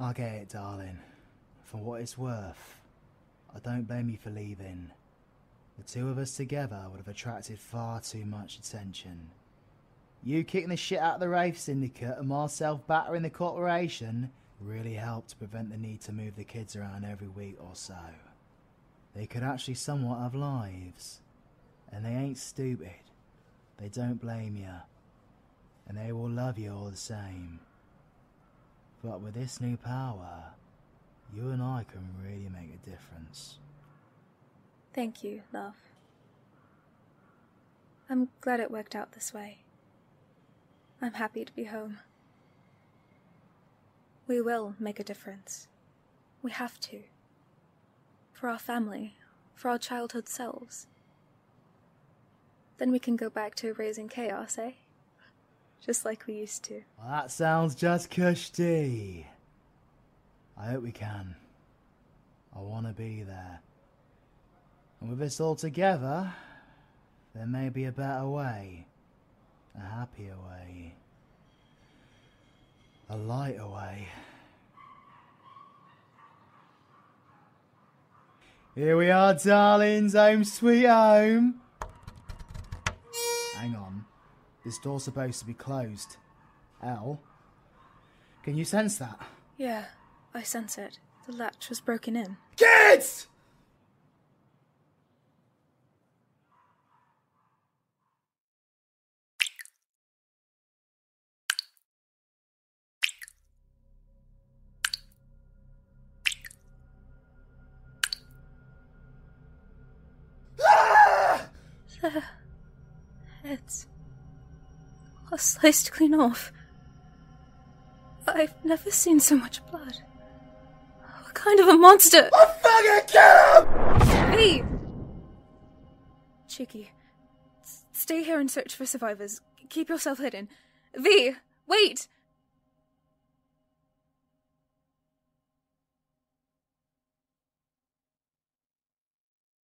S1: I will get it, darling. For what it's worth, I don't blame you for leaving. The two of us together would have attracted far too much attention. You kicking the shit out of the Rafe Syndicate and myself battering the corporation really helped to prevent the need to move the kids around every week or so. They could actually somewhat have lives. And they ain't stupid. They don't blame you. And they will love you all the same. But with this new power, you and I can really make a difference.
S2: Thank you, love. I'm glad it worked out this way. I'm happy to be home. We will make a difference. We have to. For our family, for our childhood selves. Then we can go back to raising chaos, eh? Just like we used to.
S1: that sounds just cushy. I hope we can. I want to be there. And with this all together, there may be a better way, a happier way, a lighter way. Here we are, darlings, home sweet home. Hang on. This door's supposed to be closed. L. Can you sense that?
S2: Yeah. I sense it. The latch was broken in. Kids! (laughs) heads all sliced clean off. I've never seen so much blood. What kind of a monster? I fucking kill him! Hey! Cheeky, stay here and search for survivors. Keep yourself hidden. V, wait!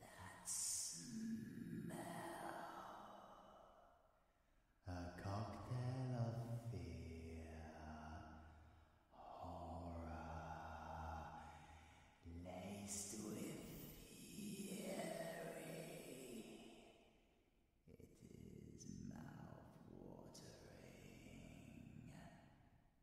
S1: That smell. A cocktail of fear, horror, laced with fury. It is mouth watering.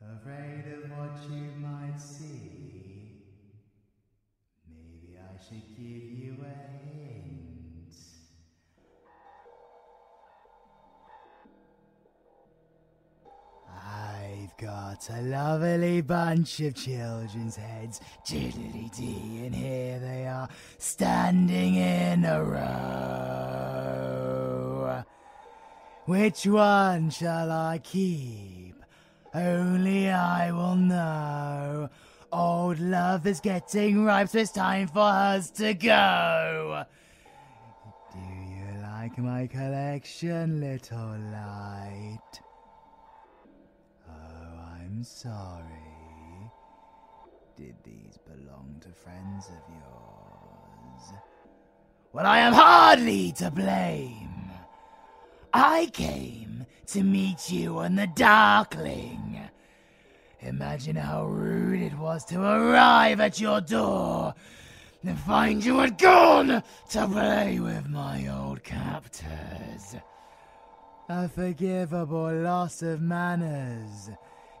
S1: afraid of what you might see. Maybe I should give you a hint. I've got a lovely bunch of children's heads, diddly dee, and here they are, standing in a row. Which one shall I keep? Only I will know. Old love is getting ripe, so it's time for us to go. Do you like my collection, little light? Oh, I'm sorry. Did these belong to friends of yours? Well, I am hardly to blame. I came to meet you on the Darkling. Imagine how rude it was to arrive at your door and find you had gone to play with my old captors. A forgivable loss of manners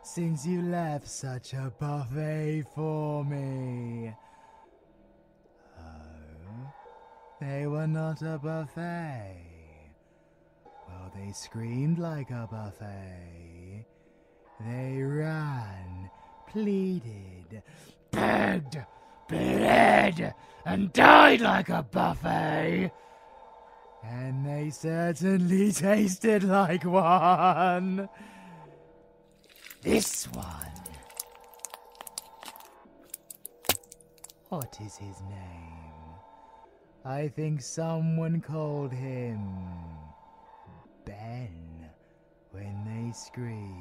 S1: since you left such a buffet for me. Oh, they were not a buffet. Well, they screamed like a buffet. They ran, pleaded, begged, bled, and died like a buffet. And they certainly (laughs) tasted like one. This one. What is his name? I think someone called him Ben when they screamed.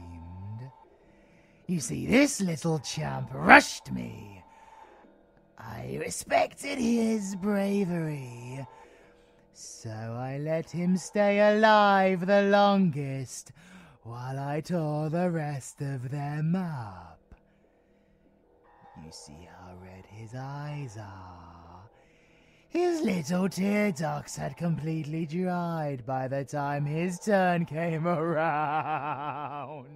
S1: You see, this little champ rushed me. I respected his bravery. So I let him stay alive the longest while I tore the rest of them up. You see how red his eyes are. His little tear ducts had completely dried by the time his turn came around.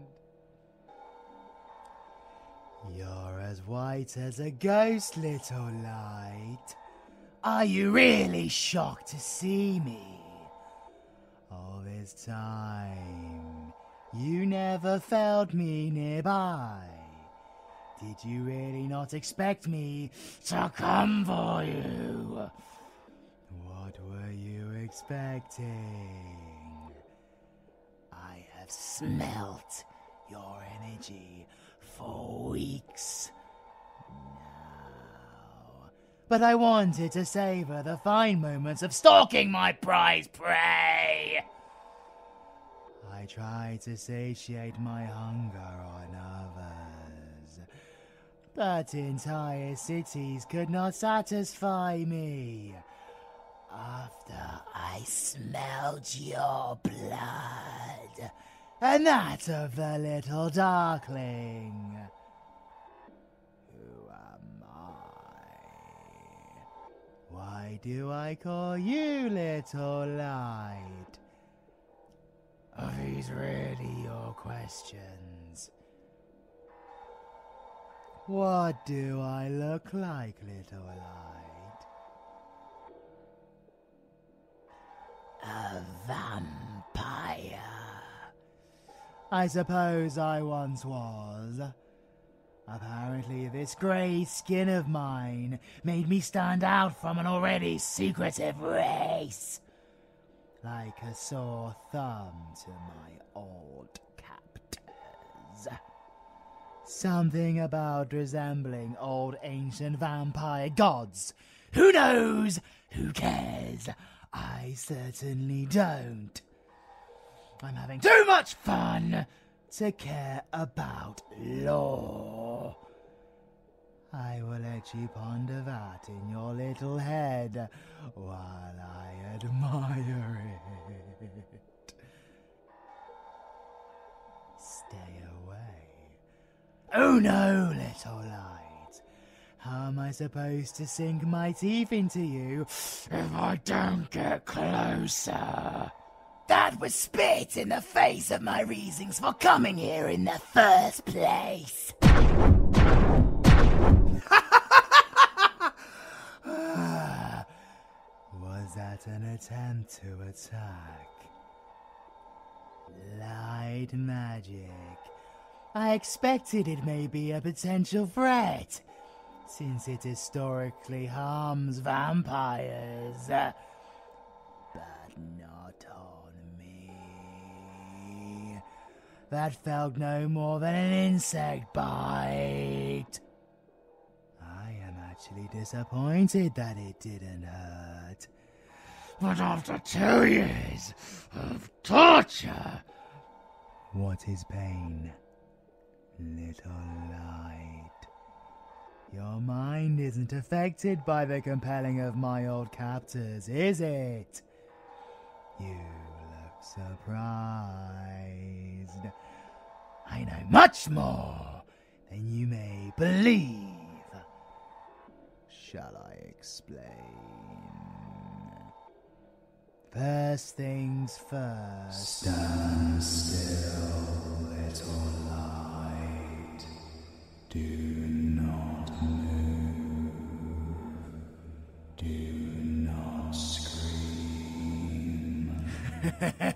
S1: You're as white as a ghost, little light. Are you really shocked to see me? All this time, you never felt me nearby. Did you really not expect me to come for you? What were you expecting? I have smelt your energy for weeks But I wanted to savor the fine moments of stalking my prize prey. I tried to satiate my hunger on others, but entire cities could not satisfy me. After I smelled your blood, and that of the little darkling. Who am I? Why do I call you little light? Are these really your questions? What do I look like, little light? A vampire. I suppose I once was. Apparently, this grey skin of mine made me stand out from an already secretive race. Like a sore thumb to my old captors. Something about resembling old ancient vampire gods.
S2: Who knows?
S1: Who cares? I certainly don't. I'm having too much fun to care about law. I will let you ponder that in your little head while I admire it. Stay away Oh no, little light. How am I supposed to sink my teeth into you if I don't get closer? That would spit in the face of my reasons for coming here in the first place. (laughs) was that an attempt to attack? Light magic. I expected it may be a potential threat, since it historically harms vampires. Uh, but not on me. That felt no more than an insect bite. I am actually disappointed that it didn't hurt. But after two years of torture. What is pain? Little light. Your mind isn't affected by the compelling of my old captors, is it? You look surprised. I know much more than you may believe. Shall I explain? First things first. Stand still, little light. Do not move. Do not scream. (laughs)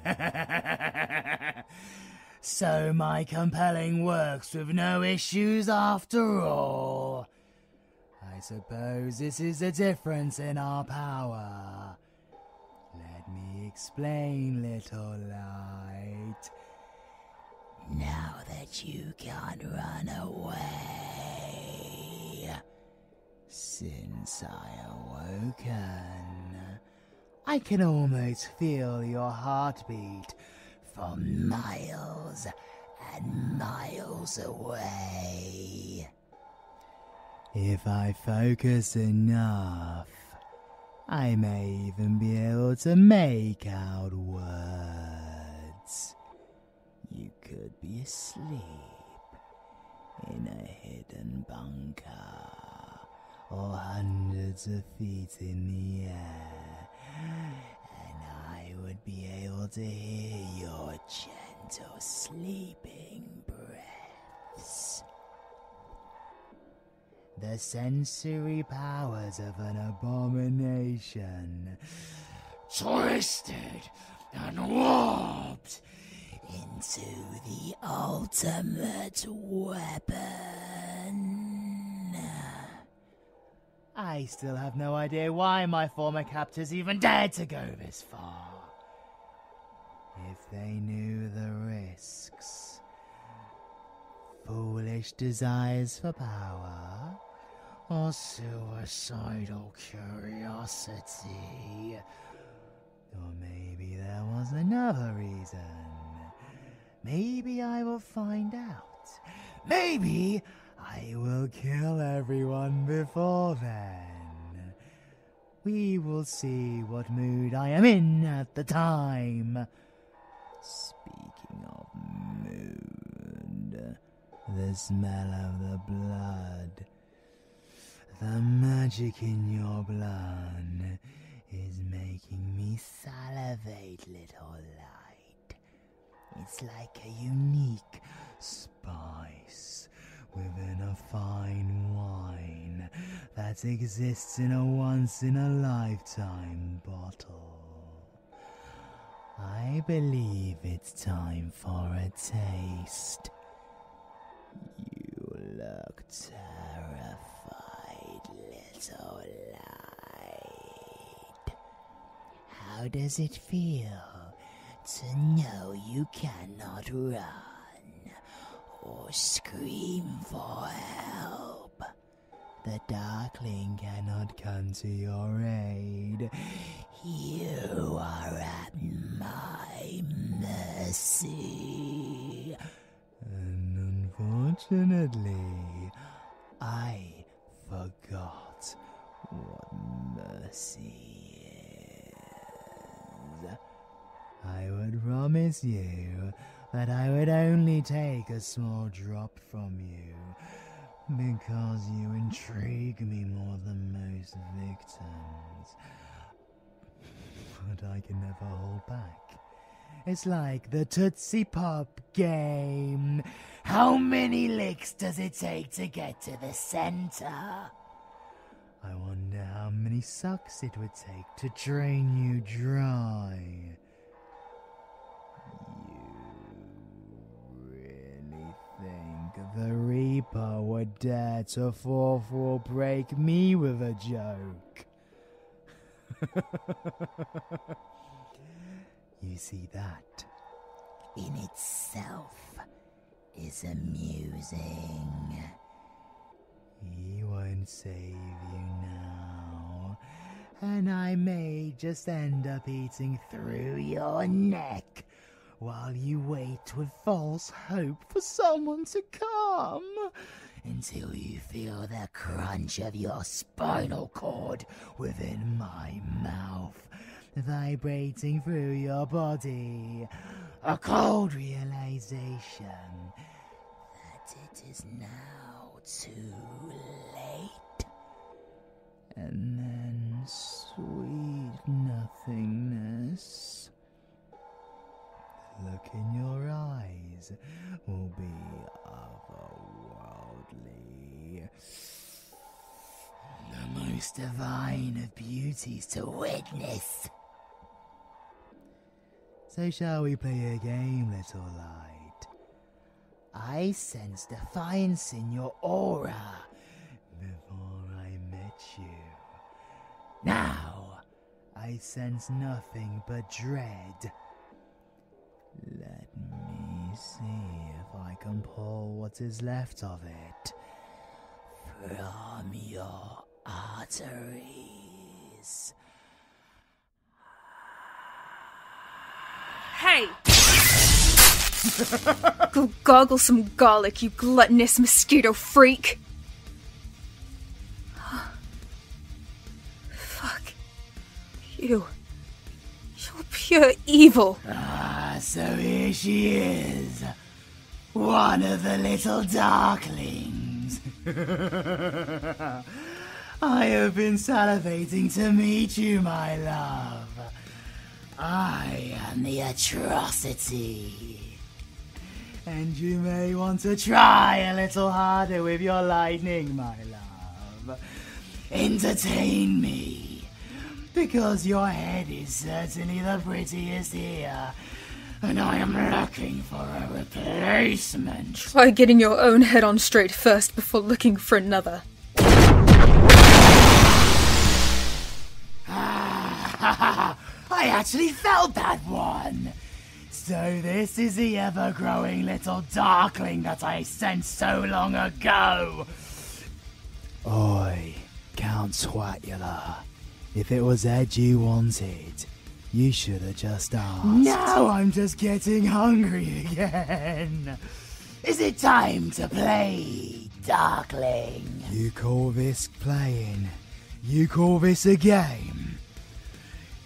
S1: So my compelling works with no issues after all. I suppose this is a difference in our power. Let me explain, little light. Now that you can't run away, since I awoke, I can almost feel your heartbeat for miles and miles away. If I focus enough, I may even be able to make out words. You could be asleep in a hidden bunker or hundreds of feet in the air and I would be able to hear your gentle sleeping breaths. The sensory powers of an abomination, twisted and warped into the ultimate weapon. I still have no idea why my former captors even dared to go this far. If they knew the risks, foolish desires for power, or suicidal curiosity, or maybe there was another reason. Maybe I will find out. Maybe I will kill everyone before then. We will see what mood I am in at the time. Speaking of mood, the smell of the blood, the magic in your blood is making me salivate, little light. It's like a unique spice within a fine wine that exists in a once in a lifetime bottle. I believe it's time for a taste. You look terrified, little lie. How does it feel to know you cannot run or scream for help? The Darkling cannot come to your aid. You are at my mercy. And unfortunately, I forgot what mercy is. I would promise you that I would only take a small drop from you because you intrigue me more than most victims. But I can never hold back. It's like the Tootsie Pop game. How many licks does it take to get to the center? I wonder how many sucks it would take to drain you dry. You really think the Reaper would dare to fall for break me with a joke? (laughs) You see that? In itself is amusing. He won't save you now. And I may just end up eating through your neck while you wait with false hope for someone to come until you feel the crunch of your spinal cord within my mouth, vibrating through your body. A cold realization that it is now too late. And then sweet nothingness. Look in your eyes will be otherworldly. The most divine of beauties to witness. So, shall we play a game, little light? I sense defiance in your aura before I met you. Now, I sense nothing but dread. Let me see if I can pull what is left of it from your arteries.
S2: Hey! (laughs) Go goggle some garlic, you gluttonous mosquito freak!
S1: (gasps) Fuck. You. You're pure evil. Ah, so here she is. One of the little darklings. (laughs) I have been salivating to meet you, my love. I am the atrocity. And you may want to try a little harder with your lightning, my love. Entertain me, because your head is certainly the prettiest here, and I am looking for a replacement.
S2: Try getting your own head on straight first
S1: before looking for another. Ah, (laughs) I actually felt that one! So this is the ever-growing little darkling that I since so long ago. Oi, Count Swatula. If it was edgy, wanted, you should have just asked. Now I'm just getting hungry again. Is it time to play, Darkling? You call this playing? You call this a game?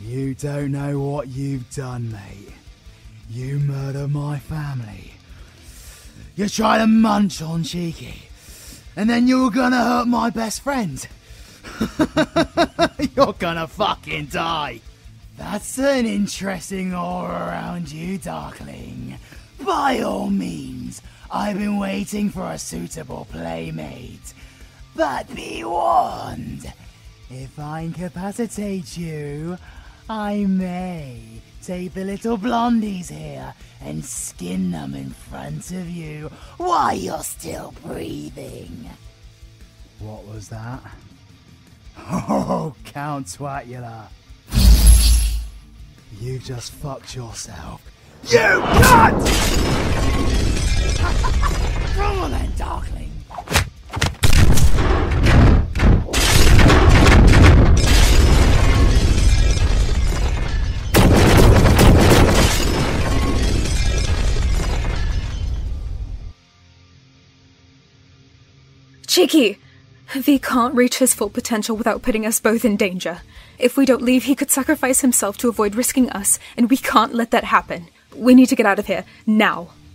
S1: You don't know what you've done, mate. You murder my family. You try to munch on Cheeky. And then you're gonna hurt my best friend. (laughs) you're gonna fucking die. That's an interesting aura around you, Darkling. By all means, I've been waiting for a suitable playmate. But be warned, if I incapacitate you, I may take the little blondies here and skin them in front of you while you're still breathing. What was that? Oh, Count Twatula. You just fucked yourself. You cunt! (laughs) on then, Darkling.
S2: Cheeky! V can't reach his full potential without putting us both in danger. If we don't leave, he could sacrifice himself to avoid risking us, and we can't let that happen. We need to get out of here, now.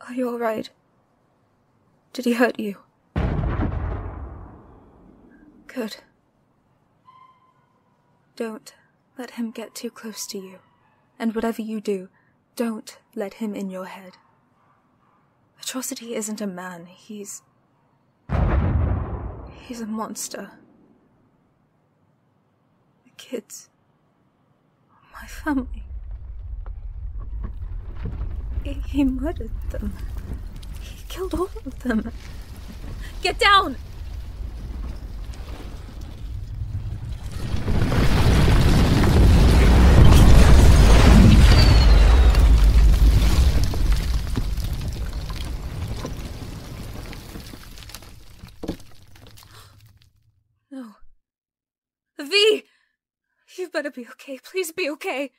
S2: Are you all right? Did he hurt you? Good. Don't let him get too close to you. And whatever you do, don't let him in your head. Atrocity isn't a man, he's. He's a monster. The kids my family. He, murdered them. He killed all of them. Get down! (gasps) No. V! You better be okay. Please be okay.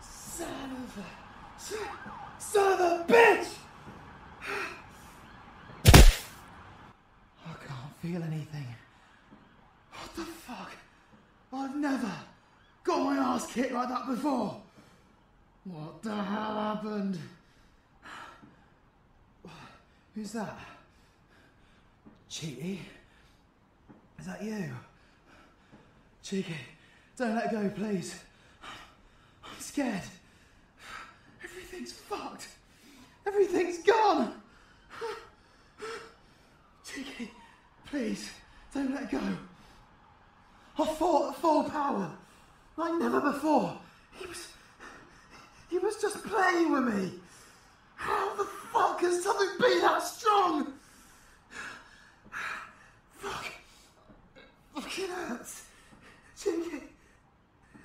S1: Son of a. Son of a bitch! (sighs) I can't feel anything. What the fuck? I've never got my ass kicked like that before. What the hell happened? Who's that? Cheeky? Is that you? Cheeky, don't let go, please. I'm scared. Everything's fucked. Everything's gone. Cheeky, please, don't let go. I have fought at full power, like never before. He was. He was just playing with me. How the fuck has something been that strong? Fuck. Fucking hurts.
S2: Jinky.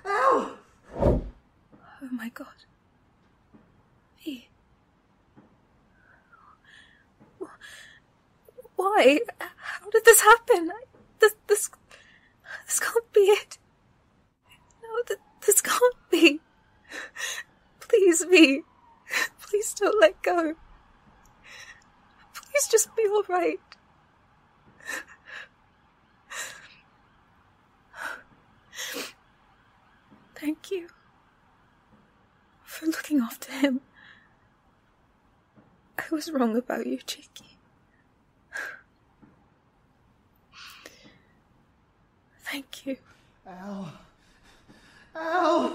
S2: Ow! Oh my god. Me. Why? How did this happen? This, this, this can't be it. No, this can't be. Please me. Please don't let go. Please just be alright. Thank you for looking after him. I was wrong about you, Jakey.
S1: Thank you. Ow. Ow!